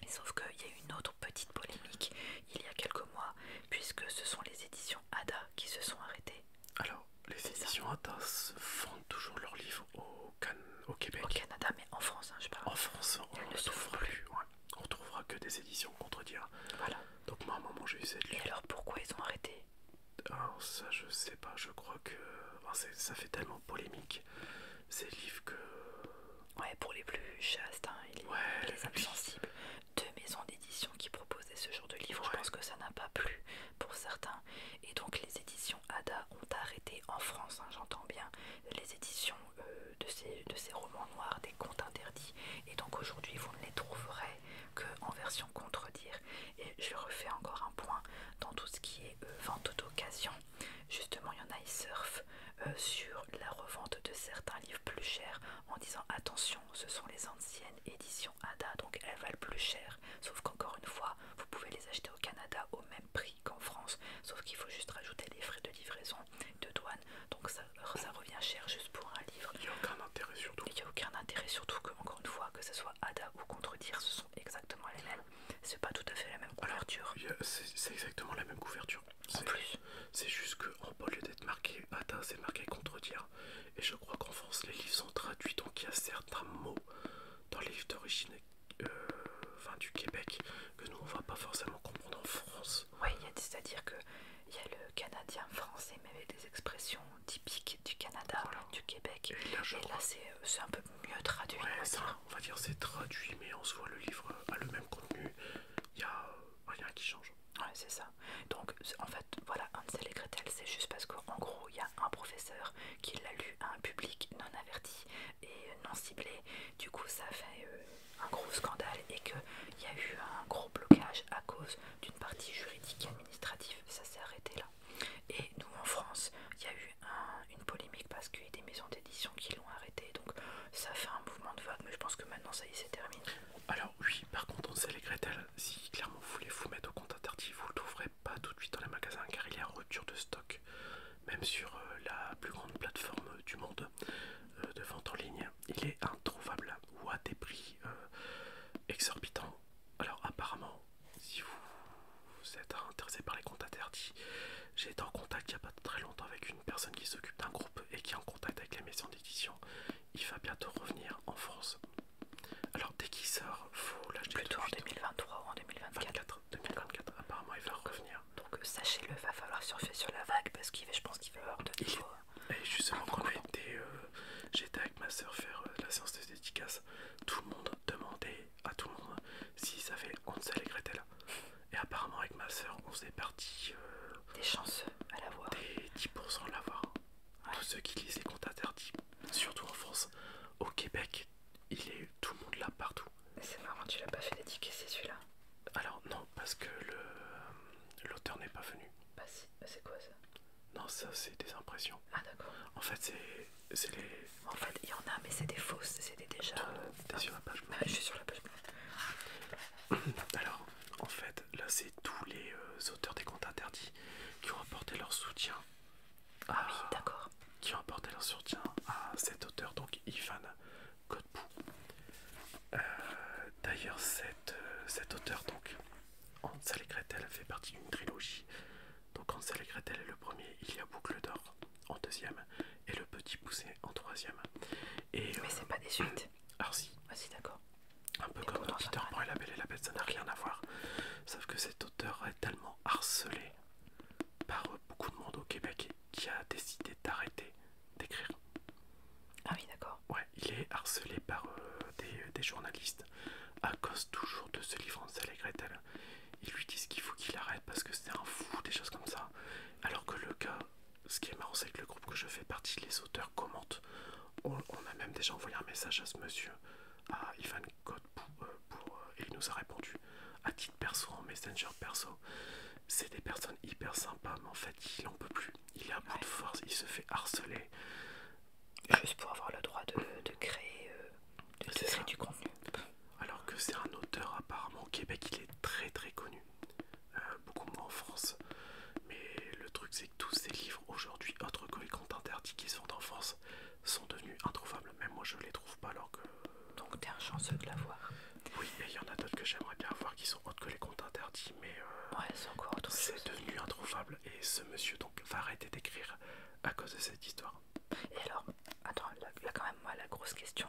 Et sauf qu'il y a une autre petite polémique il y a quelques mois, puisque ce sont les éditions Ada qui se sont arrêtées. Alors, les éditions Ada vendent toujours leurs livres au, au Québec. Au Canada, mais en France, hein, je En France, on ne souffre plus. On trouvera que des éditions contredire. Voilà. Donc moi, à un moment, j'ai eu cette. Et alors, pourquoi ils ont arrêté alors ça je sais pas, je crois que ça fait tellement polémique ces livres que... Ouais pour les plus chastes, hein, les, sensibles, deux maisons d'édition qui proposaient ce genre de livres je pense que ça n'a pas plu pour certains. Et donc les éditions Ada ont arrêté en France, hein, j'entends bien, les éditions euh, de, ces, de ces romans noirs, des contes interdits. Et donc aujourd'hui vous ne les trouverez qu'en version contredire. Et je refais encore un point dans tout ce qui est euh, vente d'occasion. Justement, il y en a, ils euh, sur la revente de certains livres plus chers en disant attention, ce sont les anciennes éditions ADA, donc elles valent plus cher. Sauf qu'encore une fois, vous pouvez les acheter au Canada au même prix qu'en France, sauf qu'il faut juste rajouter les frais de livraison, de douane, donc ça, revient cher juste pour un livre. Il n'y a aucun intérêt surtout. Il n'y a aucun intérêt surtout fois, que ce soit Ada ou Contredire, ce sont exactement les mêmes. C'est pas tout à fait la même couverture. C'est exactement la même couverture. En plus. C'est juste que, au lieu d'être marqué Ada, c'est marqué Contredire. Et je crois qu'en France, les livres sont traduits, donc il y a certains mots dans les livres d'origine euh, du Québec que nous on va pas forcément comprendre en France. Oui, c'est-à-dire que il y a le canadien français, mais avec des expressions typique du Canada, du Québec. Et là, euh, c'est un peu mieux traduit. on va dire c'est traduit, mais en voit le livre euh, a le même contenu. Il n'y a euh, rien qui change. Ouais, c'est ça. Donc, en fait, voilà, de et Gretel, c'est juste parce qu'en gros, il y a un professeur qui l'a lu à un public non averti et non ciblé. Du coup, ça fait un gros scandale et qu'il y a eu un gros blocage à cause d'une partie juridique et administrative. Ça s'est arrêté là. Et nous en France, il y a eu une polémique parce qu'il y a des maisons d'édition qui l'ont arrêté, donc ça fait un mouvement de vague, mais je pense que maintenant ça y est, c'est terminé. Alors, oui, par contre, on sait les Gretel, si clairement vous voulez vous mettre au compte interdit, vous le trouverez pas tout de suite dans les magasins car il est en rupture de stock, même sur euh, la plus grande plateforme euh, du monde euh, de vente en ligne. Il est introuvable ou à des prix exorbitants. Alors, apparemment, si vous êtes intéressé par les comptes interdits, j'ai été en contact il n'y a pas très longtemps avec une personne qui s'occupe d'un groupe et qui est en contact avec la maison d'édition. Il va bientôt revenir en France. Alors dès qu'il sort, faut l'acheter. Plutôt en 2023 ou en 2024. 2024, apparemment il va revenir. Donc euh, sachez-le, va falloir surfer sur la vague parce qu'il je pense qu'il va avoir de défaut. Et justement, quand euh, j'étais avec ma soeur faire euh, la séance de dédicace tout le monde demandait à tout le monde savait on Hansel et là. Et apparemment, avec ma soeur, on s'est parti. Euh, des chanceux à l'avoir. Des 10% à l'avoir. Tous ceux qui lisent les comptes interdits, surtout en France. Au Québec, il est tout le monde là partout. C'est marrant, tu l'as pas fait c'est celui-là Alors, non, parce que euh, l'auteur n'est pas venu. bah, bah c'est quoi ça non, ça c'est des impressions. Ah d'accord. En fait, c'est les. En fait, il y en a, mais c'est des fausses, c'est déjà. Euh, sur la page je suis sur la page Alors, en fait, là c'est tous les euh, auteurs des comptes interdits qui ont apporté leur soutien. Ah oui, d'accord. Qui ont apporté leur soutien à cet auteur, donc Ivan Godbout. Euh, d'ailleurs, cet, auteur, donc, Hans et fait partie d'une trilogie donc Hansel et Gretel est le premier, il y a Boucle d'Or en deuxième et le Petit Poussé en troisième. Mais euh, c'est pas des suites. Alors si. Ah si d'accord. Un peu comme Peter Pan et la Belle et la Bête, ça n'a rien à voir. Sauf que cet auteur est tellement harcelé par beaucoup de monde au Québec qui a décidé d'arrêter d'écrire. Ah oui d'accord. Ouais, il est harcelé par euh, euh, des journalistes à cause toujours de ce livre en et Gretel. Ils lui disent qu'il faut qu'il arrête parce que c'est un fou, des choses comme ça. Alors que le cas, ce qui est marrant, c'est que le groupe que je fais partie, les auteurs commentent. On, a même déjà envoyé un message à ce monsieur, à Ivan euh, euh, et il nous a répondu à titre perso, en messenger perso. C'est des personnes hyper sympas, mais en fait, il en peut plus. Il a à bout de force, il se fait harceler juste pour avoir le droit de, créer, euh, du contenu. Alors que c'est un auteur apparemment au Québec, il est très très connu, euh, beaucoup moins en France. Mais le truc c'est que tous ces livres aujourd'hui, autres que les comptes interdits qui sont en France, sont devenus introuvables. Même moi je les trouve pas alors que... Donc t'es un chanceux de l'avoir. Oui, et il y en a d'autres que j'aimerais bien avoir qui sont autres que les comptes interdits, mais encore euh, ouais, c'est devenu introuvable. Et ce monsieur donc va arrêter d'écrire à cause de cette histoire. Et alors, attends, là, quand même, moi, la grosse question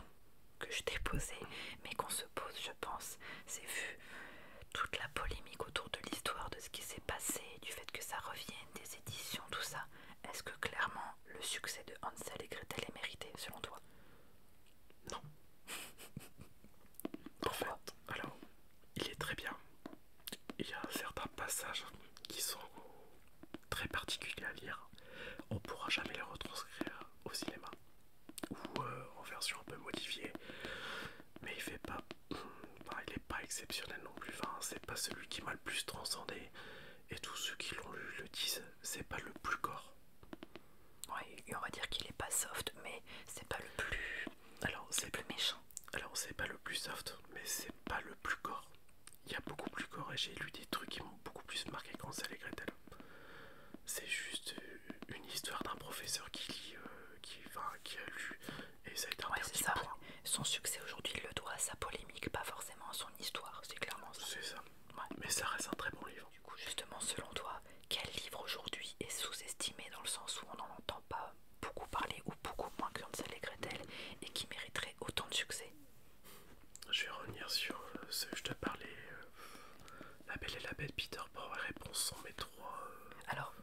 que je t'ai posée, mais qu'on se pose, je pense, c'est vu toute la polémique autour de l'histoire, de ce qui s'est passé, du fait que ça revienne, des éditions, tout ça. Est-ce que clairement le succès de Hansel et Gretel est mérité selon toi Non. Pourquoi alors il est très bien. Il y a certains passages qui sont très particuliers à lire. On ne pourra jamais les retranscrire au cinéma ou euh, en version un peu modifiée. Mais il fait pas, il est pas exceptionnel non plus. c'est pas celui qui m'a le plus transcendé. Et tous ceux qui l'ont lu le disent, c'est pas le plus corps. Ouais, on va dire qu'il est pas soft, mais c'est pas le plus alors c'est plus méchant. Alors c'est pas le plus soft, mais c'est pas le plus gore. Il y a beaucoup plus gore et j'ai lu des trucs qui m'ont beaucoup plus marqué qu'Ansel et Gretel. C'est juste euh, une histoire d'un professeur qui lit, euh, qui, enfin, qui a lu et ça a été ouais, ça. Son succès aujourd'hui, le doit à sa polémique, pas forcément à son histoire, c'est clairement ça. C'est ça. Mais ça reste un très bon livre. Du coup, justement, selon toi, quel livre aujourd'hui est sous-estimé dans le sens où on n'en entend pas beaucoup parlé ou beaucoup moins Hansel et Gretel et qui mériterait autant de succès. Je vais revenir sur euh, ce que je te parlais. Euh, la Belle et la Bête, Peter Pan, réponse en mes trois. Euh. Alors,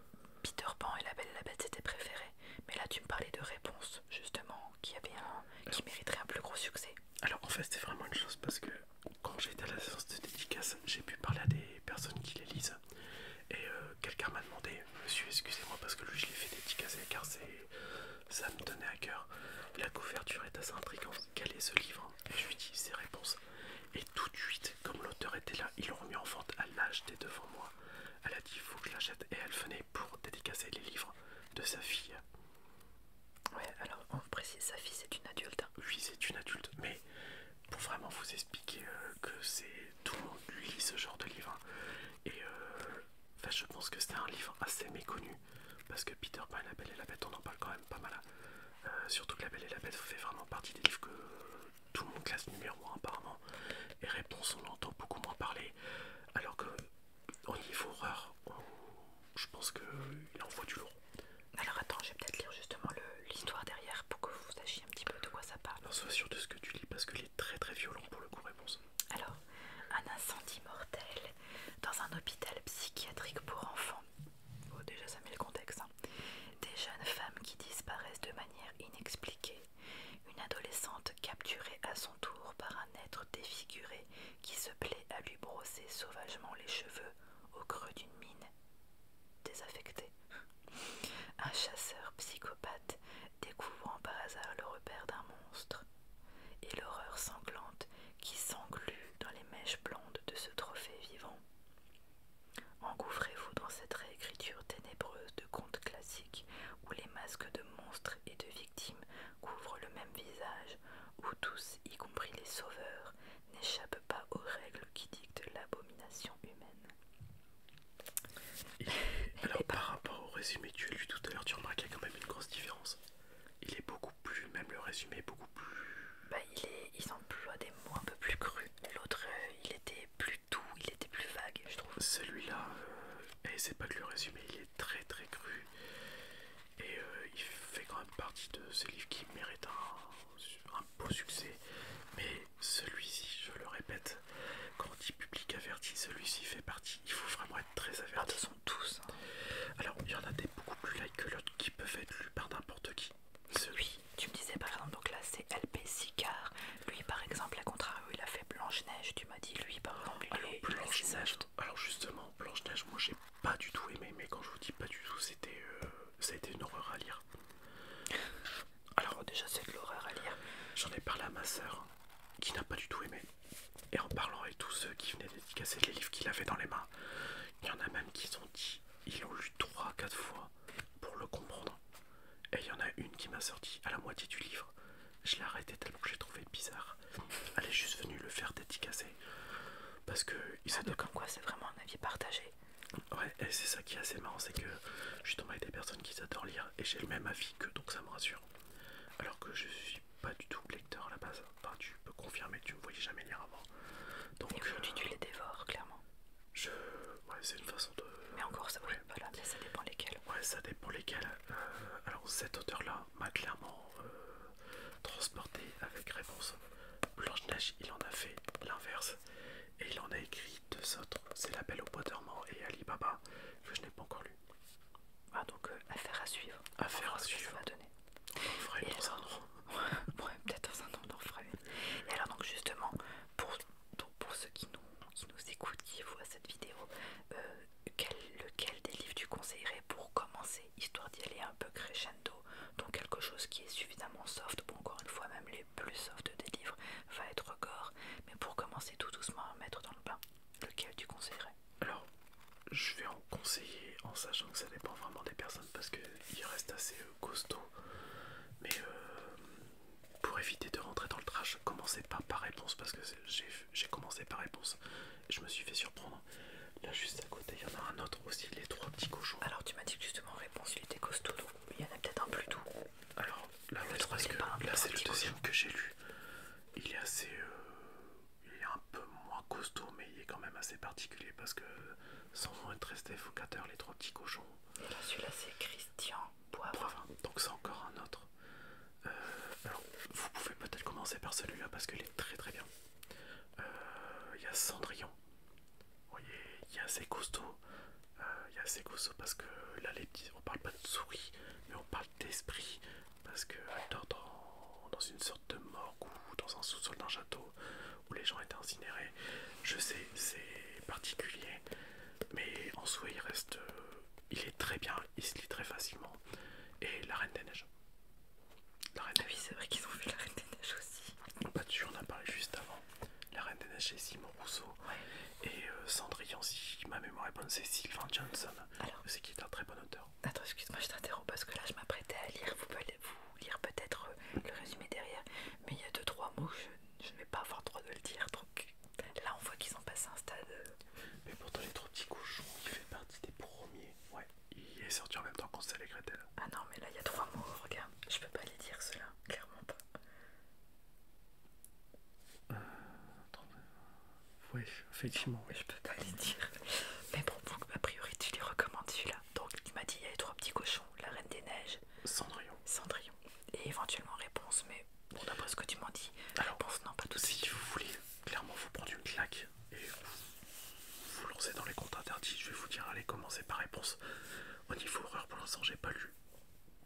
Peter Pan et la Belle et la Bête c'était préféré, mais là tu me parlais de réponse justement qui avait un, qui mériterait un plus gros succès. Alors en fait c'était vraiment une chose parce que quand j'étais à la séance de dédicace, j'ai pu parler à des personnes qui les lisent et euh, quelqu'un m'a demandé, monsieur, excusez-moi parce que lui je l'ai fait dédicacer car ça me tenait à cœur. La couverture est assez intrigante, quel est ce livre Et je lui dis ses réponses. Et tout de suite, comme l'auteur était là, ils l'ont remis en vente, elle l'a acheté devant moi. Elle a dit, il faut que je l'achète. Et elle venait pour dédicacer les livres de sa fille. Ouais, alors on précise, sa fille c'est une adulte. Oui, c'est une adulte, mais pour vraiment vous expliquer euh, que c'est tout le monde lit ce genre de livre hein. et euh, je pense que c'est un livre assez méconnu parce que Peter Pan la Belle et la Bête on en parle quand même pas mal hein. euh, surtout que la Belle et la Bête fait vraiment partie des livres que tout le monde classe numéro 1 apparemment et réponse on l'entend beaucoup moins parler alors que au niveau horreur je pense qu'il faut du lourd alors attends je vais peut-être lire justement l'histoire derrière pour que vous sachiez un petit peu de quoi ça parle. Non, sois sûr de ce que tu lis parce qu'il est très très violent pour le coup réponse. Alors, un incendie mortel dans un hôpital psychiatrique pour enfants. déjà ça met le contexte. Hein. Des jeunes femmes qui disparaissent de manière inexpliquée. Une adolescente capturée à son tour par un être défiguré qui se plaît à lui brosser sauvagement les cheveux au creux d'une mine désaffectée. Un chasseur psychopathe découvrant par hasard le repère d'un monstre et l'horreur sanglante qui s'englue dans les mèches blondes de ce trophée vivant. Engouffrez-vous dans cette réécriture ténébreuse de contes classiques où les masques de monstres et de victimes couvrent le même visage, où tous, y compris les sauveurs, n'échappent pas aux règles qui dictent l'abomination humaine. Alors par rapport au résumé que tu as lu tout à l'heure, tu remarques qu'il y a quand même une grosse différence. Il est beaucoup plus, même le résumé est beaucoup plus... Bah, il, est, emploie des mots un peu plus crus. L'autre, euh, il était plus doux, il était plus vague, je trouve. Celui-là, euh, et c'est pas que le résumé, il est très très cru. Et euh, il fait quand même partie de ces livres qui méritent un, un beau succès. Mais celui-ci, je le répète, quand on dit public averti, celui-ci fait partie. Il faut vraiment être très averti. Ah, sont tous. Hein. Alors, il y en a des beaucoup plus likes que l'autre qui peuvent être lus par n'importe qui. Celui, tu me disais par exemple, donc là c'est LP Sicard. Lui par exemple, à contrario, il a fait Blanche-Neige. Tu m'as dit, lui par exemple, alors, il, justement, Blanche-Neige, moi j'ai pas du tout aimé, mais quand je vous dis pas du tout, c'était. Euh, ça a été une horreur à lire. Alors déjà c'est de l'horreur à lire. J'en ai parlé à ma soeur qui n'a pas du tout aimé. Et en parlant avec tous ceux qui venaient dédicacer les livres qu'il avait dans les mains, il y en a même qui ont dit, ils l'ont lu 3-4 fois pour le comprendre. Et il y en a une qui m'a sorti à la moitié du livre. Je l'ai arrêté tellement que j'ai trouvé bizarre. Elle est juste venue le faire dédicacer. Parce que il comme ah, quoi c'est vraiment un avis partagé. Ouais, et c'est ça qui est assez marrant, c'est que je suis tombé avec des personnes qui adorent lire et j'ai le même avis que donc ça me rassure. Alors que je suis pas du tout lecteur à la base. Hein. Enfin, tu peux confirmer que tu me voyais jamais lire avant. Donc aujourd'hui euh, tu les dévores clairement. Je, ouais, c'est une façon de. Mais encore ça, dépend lesquels. Ouais, ça dépend lesquels. Euh, alors cet auteur-là m'a clairement euh, transporté avec réponse. Blanche Neige, il en a fait l'inverse et il en a écrit deux autres, c'est L'Appel au bois mort et Alibaba, que je n'ai pas encore lu. Ah, donc, euh, affaire à suivre. Affaire à suivre. Ça donner. On ferait dans un an. peut-être dans un an, on en Et alors, donc, justement, pour, pour ceux qui nous, nous écoutent, qui voient cette vidéo, euh, lequel des livres tu conseillerais pour commencer, histoire d'y aller un peu crescendo, donc quelque chose qui est suffisamment soft, pour, encore une fois, même plus soft des livres va être gore, mais pour commencer tout doucement à mettre dans le bain, lequel tu conseillerais Alors, je vais en conseiller en sachant que ça dépend vraiment des personnes parce il reste assez euh, costaud. Mais euh, pour éviter de rentrer dans le trash, commencez pas par réponse parce que j'ai commencé par réponse. je me suis fait surprendre. Là, juste à côté, il y en a un autre aussi, les trois petits cochons. Alors, tu m'as dit que justement, réponse, il était costaud, donc il y en a peut-être un plus doux. Alors la c'est le deuxième que j'ai lu. Il est assez, euh, il est un peu moins costaud, mais il est quand même assez particulier parce que sans être resté focateur les trois petits cochons. Et celui-là c'est Christian Poivre, Donc c'est encore un autre. Euh, alors vous pouvez peut-être commencer par celui-là parce qu'il est très très bien. Euh, il y a Cendrillon. Vous voyez, il est assez costaud. Il euh, y a parce que là, on parle pas de souris, mais on parle d'esprit. Parce que dans, une sorte de morgue ou dans un sous-sol d'un château où les gens étaient incinérés. Je sais, c'est particulier, mais en soi, il reste. Euh, il est très bien, il se lit très facilement. Et la Reine des Neiges. La Reine des... Ah oui, c'est vrai qu'ils ont vu la Reine des Neiges aussi. pas tu en a parlé juste avant. La Reine des Neiges, Simon Rousseau. Et euh, Cendrillon, si ma mémoire est bonne, c'est Sylvain Johnson. c'est qui est un très bon auteur. Attends, excuse-moi, je t'interromps parce que là, je m'apprêtais à lire. Vous pouvez vous lire peut-être euh, le résumé derrière. Mais il y a deux, trois mots, je ne vais pas avoir le droit de le dire. Donc là, on voit qu'ils ont passé un stade. Euh. Mais pourtant, les trois petits cochons, il fait partie des premiers. il est sorti en même temps qu'on s'est et là. Ah non, mais là, il y a trois mots, regarde. Je ne peux pas les dire, ceux-là, clairement pas. Euh, oui, effectivement, Je peux pas les dire. Mais bon, que a priori, tu les recommandes celui-là. Donc, tu m'as dit il y a les trois petits cochons, la Reine des Neiges, Cendrillon. Cendrillon. Et éventuellement Réponse, mais bon, d'après ce que tu m'as dit Alors, Réponse, non, pas tout si vous voulez clairement vous prendre une claque et vous, lancer dans les comptes interdits, je vais vous dire, allez, commencez par Réponse. Au niveau horreur, pour l'instant, j'ai pas lu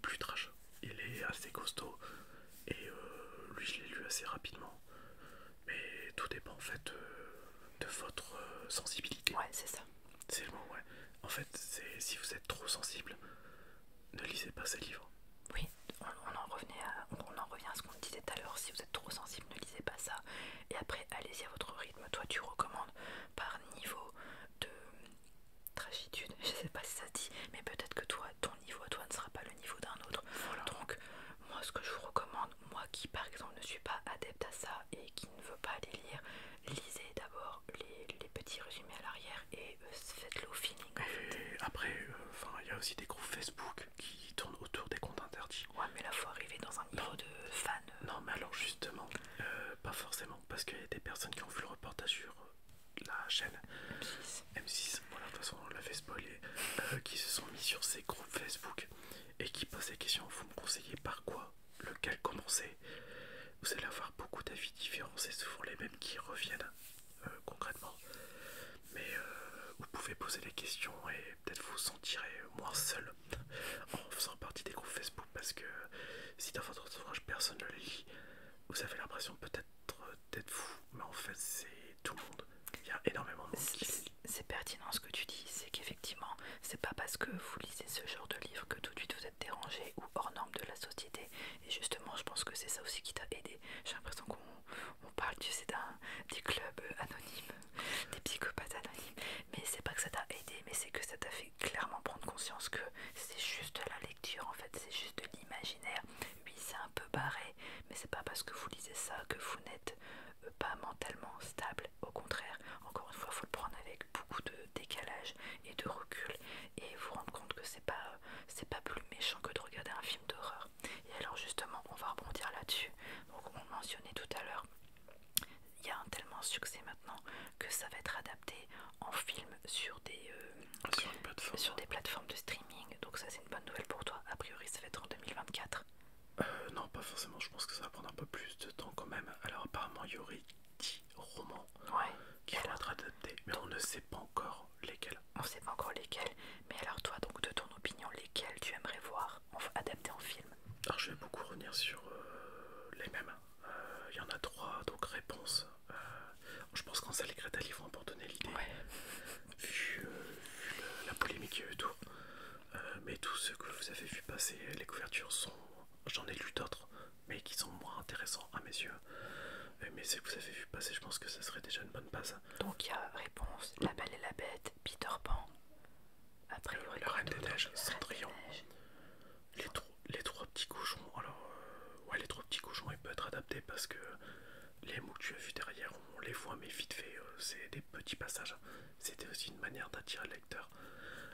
plus trash. Il est assez costaud et euh, lui je l'ai lu assez rapidement. Mais tout dépend en fait euh, de votre euh, sensibilité. Ouais, c'est ça. C'est le mot, ouais. En fait, c'est si vous êtes trop sensible, ne lisez pas ces livres. Oui, on, en, revenait on en revient à ce qu'on disait tout à l'heure. Si vous êtes trop sensible, ne lisez pas ça. Et après, allez-y à votre rythme. Toi, tu recommandes par niveau de, tragitude, je sais pas si ça dit, mais peut-être que toi, ton niveau à toi ne sera pas le niveau d'un autre. Donc, moi, ce que je vous recommande, moi qui par exemple ne suis pas adepte à ça et qui ne veux pas aller lire, lisez d'abord les, petits résumés à l'arrière et euh, faites-le au feeling. après, euh, enfin il y a aussi des groupes Facebook qui tournent autour des comptes interdits. Ouais, mais là, faut arriver dans un niveau de fans euh. Non, mais alors justement, pas forcément, parce qu'il y a des personnes qui ont vu le reportage sur la chaîne M6, voilà, de toute façon on l'avait euh, qui se sont mis sur ces groupes Facebook et qui posent des questions, vous me conseillez par quoi, lequel commencer Vous allez avoir beaucoup d'avis différents, c'est souvent les mêmes qui reviennent euh, concrètement, mais euh, vous pouvez poser des questions et peut-être vous sentirez moins seul en faisant partie des groupes Facebook parce que si dans votre ouvrage personne ne le lit, vous avez l'impression peut-être euh, d'être fou, mais en fait c'est tout le monde. Il y a énormément de monde C'est pertinent ce que tu dis, c'est qu'effectivement, c'est pas parce que vous lisez ce genre de livre que tout de suite vous êtes dérangé ou hors norme de la société. Et justement, je pense que c'est ça aussi qui t'a aidé. J'ai l'impression qu'on parle, tu sais, des clubs anonymes, des psychopathes anonymes. Mais c'est pas que ça t'a aidé, mais c'est que ça t'a fait clairement prendre conscience que c'est juste la en fait, c'est juste de l'imaginaire. Oui, c'est un peu barré, mais c'est pas parce que vous lisez ça que vous n'êtes euh, pas mentalement stable. Au contraire, encore une fois, il faut le prendre avec beaucoup de décalage et de recul et vous rendre compte que c'est pas, euh, c'est pas plus méchant que de regarder un film d'horreur. Et alors, justement, on va rebondir là-dessus. Donc, on mentionnait tout à l'heure. Il y a un tellement succès maintenant que ça va être adapté en film sur des, euh, ah, sur des plateformes de streaming. Donc ça c'est une bonne nouvelle pour toi. A priori ça va être en 2024. Euh, non pas forcément, je pense que ça va prendre un peu plus de temps quand même. Alors apparemment il y aurait 10 romans qui vont être adaptés, mais on ne sait pas encore lesquels. On ne sait pas encore lesquels, mais alors toi donc de ton opinion lesquels tu aimerais voir adaptés en film alors je vais beaucoup revenir sur euh, les mêmes. Il y en a trois, donc réponse, je pense qu'en salle Greta Livron pour donner l'idée, vu, euh, la polémique et tout, euh, mais tout ce que vous avez vu passer, les couvertures sont. J'en ai lu d'autres, mais qui sont moins intéressants à mes yeux. Euh, mais ce que vous avez vu passer, je pense que ça serait déjà une bonne base. Donc il y a réponse La Belle et la Bête, Peter Pan. Après, euh, la Reine des Neiges, Cendrillon. Les, trois petits couchons alors euh, ouais, les trois petits couchons ils peuvent être adaptés parce que les mots que tu as vu derrière, on les voit, mais vite fait, euh, c'est des petits passages. Hein. C'était aussi une manière d'attirer le lecteur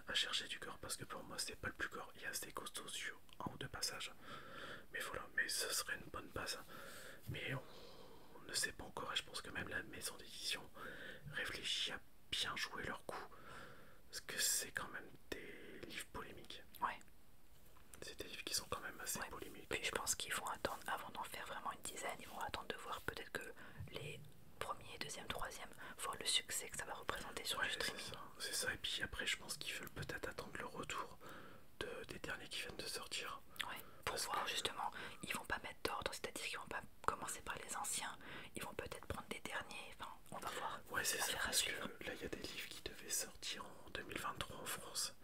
à chercher du corps parce que pour moi, c'est pas le plus corps. Il y a assez costauds sur un ou deux passages, mais voilà, mais ce serait une bonne base. Hein. Mais on, ne sait pas encore, et je pense que même la maison d'édition réfléchit à bien jouer coup. Parce que c'est quand même des livres polémiques. Ouais. C'est des livres qui sont quand même assez polémiques polémiques. Puis je pense qu'ils vont attendre, avant d'en faire vraiment une dizaine, ils vont attendre de voir peut-être que les premiers, deuxième, troisième, voir le succès que ça va représenter sur les le C'est ça. Et puis après, je pense qu'ils veulent peut-être attendre le retour des derniers qui viennent de sortir. Ouais. Pour voir justement, ils vont pas mettre d'ordre, c'est-à-dire qu'ils vont pas commencer par les anciens, ils vont peut-être prendre des derniers. On va voir. Ouais, c'est ça. là, il y a des livres qui devaient sortir en 2023 en France,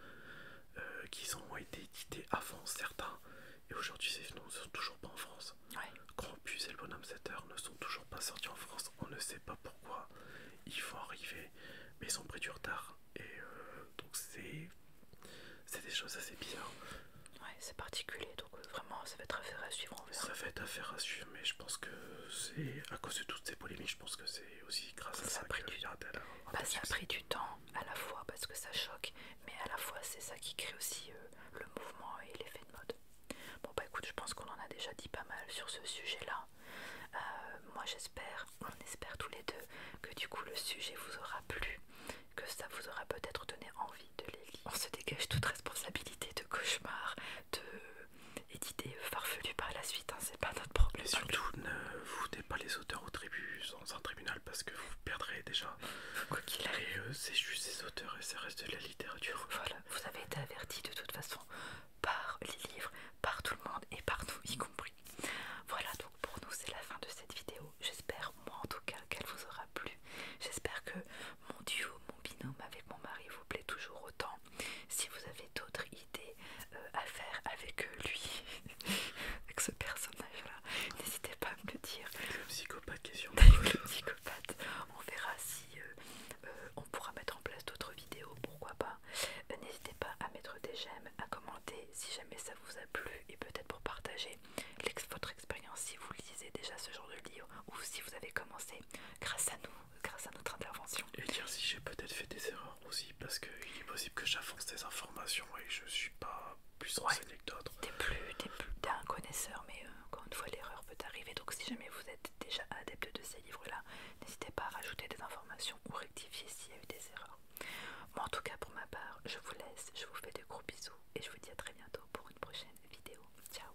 euh, qui ont été édités avant certains, et aujourd'hui, ils ne sont toujours pas en France. Ouais. et le bonhomme 7 heures ne sont toujours pas sortis en France. On ne sait pas pourquoi. Ils vont arriver, mais ils ont pris du retard. Et euh, donc, c'est. C'est des choses assez bizarres. Ouais, c'est particulier, donc euh, vraiment ça va être affaire à suivre ça va être affaire à suivre, mais je pense que c'est à cause de toutes ces polémiques, je pense que c'est aussi grâce à ça, ça du... Bah, pris du temps, à la fois parce que ça choque, mais à la fois c'est ça qui crée aussi euh, le mouvement et l'effet de mode. Bon bah écoute, je pense qu'on en a déjà dit pas mal sur ce sujet-là. Euh, moi j'espère, on espère tous les deux que du coup le sujet vous aura plu, que ça vous aura peut-être donné envie de les On se dégage toute responsabilité de cauchemar, de et d'idées par la suite, hein, c'est pas notre problème. Et surtout, ne foutez pas les auteurs aux tribunaux dans un tribunal parce que vous perdrez déjà. Quoi qu'il arrive, c'est juste ces auteurs et ça reste de la littérature. Voilà, vous avez été avertis de toute façon par les livres, par tout le monde et partout y compris. Voilà, donc pour nous c'est la fin de cette vidéo. J'espère, moi en tout cas, qu'elle vous aura plu. J'espère que mon duo, mon binôme avec mon mari vous plaît toujours autant. Si vous avez d'autres idées euh, à faire avec lui, avec ce personnage-là, n'hésitez pas à me le dire. psychopathe psychopathe, on verra si euh, euh, on pourra mettre en place d'autres vidéos, pourquoi pas. n'hésitez pas à mettre des j'aime, à commenter si jamais ça vous a plu et peut-être pour partager votre expérience si vous lisez déjà ce genre de livre ou si vous avez commencé grâce à nous grâce à notre intervention. Et dire si j'ai peut-être fait des erreurs aussi, parce qu'il est possible que j'avance des informations et je suis pas plus renseigné que d'autres. T'es plus, t'es un connaisseur, mais euh, encore une fois, l'erreur peut arriver. Donc, si jamais vous êtes déjà adepte de ces livres-là, n'hésitez pas à rajouter des informations ou rectifier s'il y a eu des erreurs. moi en tout cas, pour ma part, je vous laisse, je vous fais de gros bisous et je vous dis à très bientôt pour une prochaine vidéo. Ciao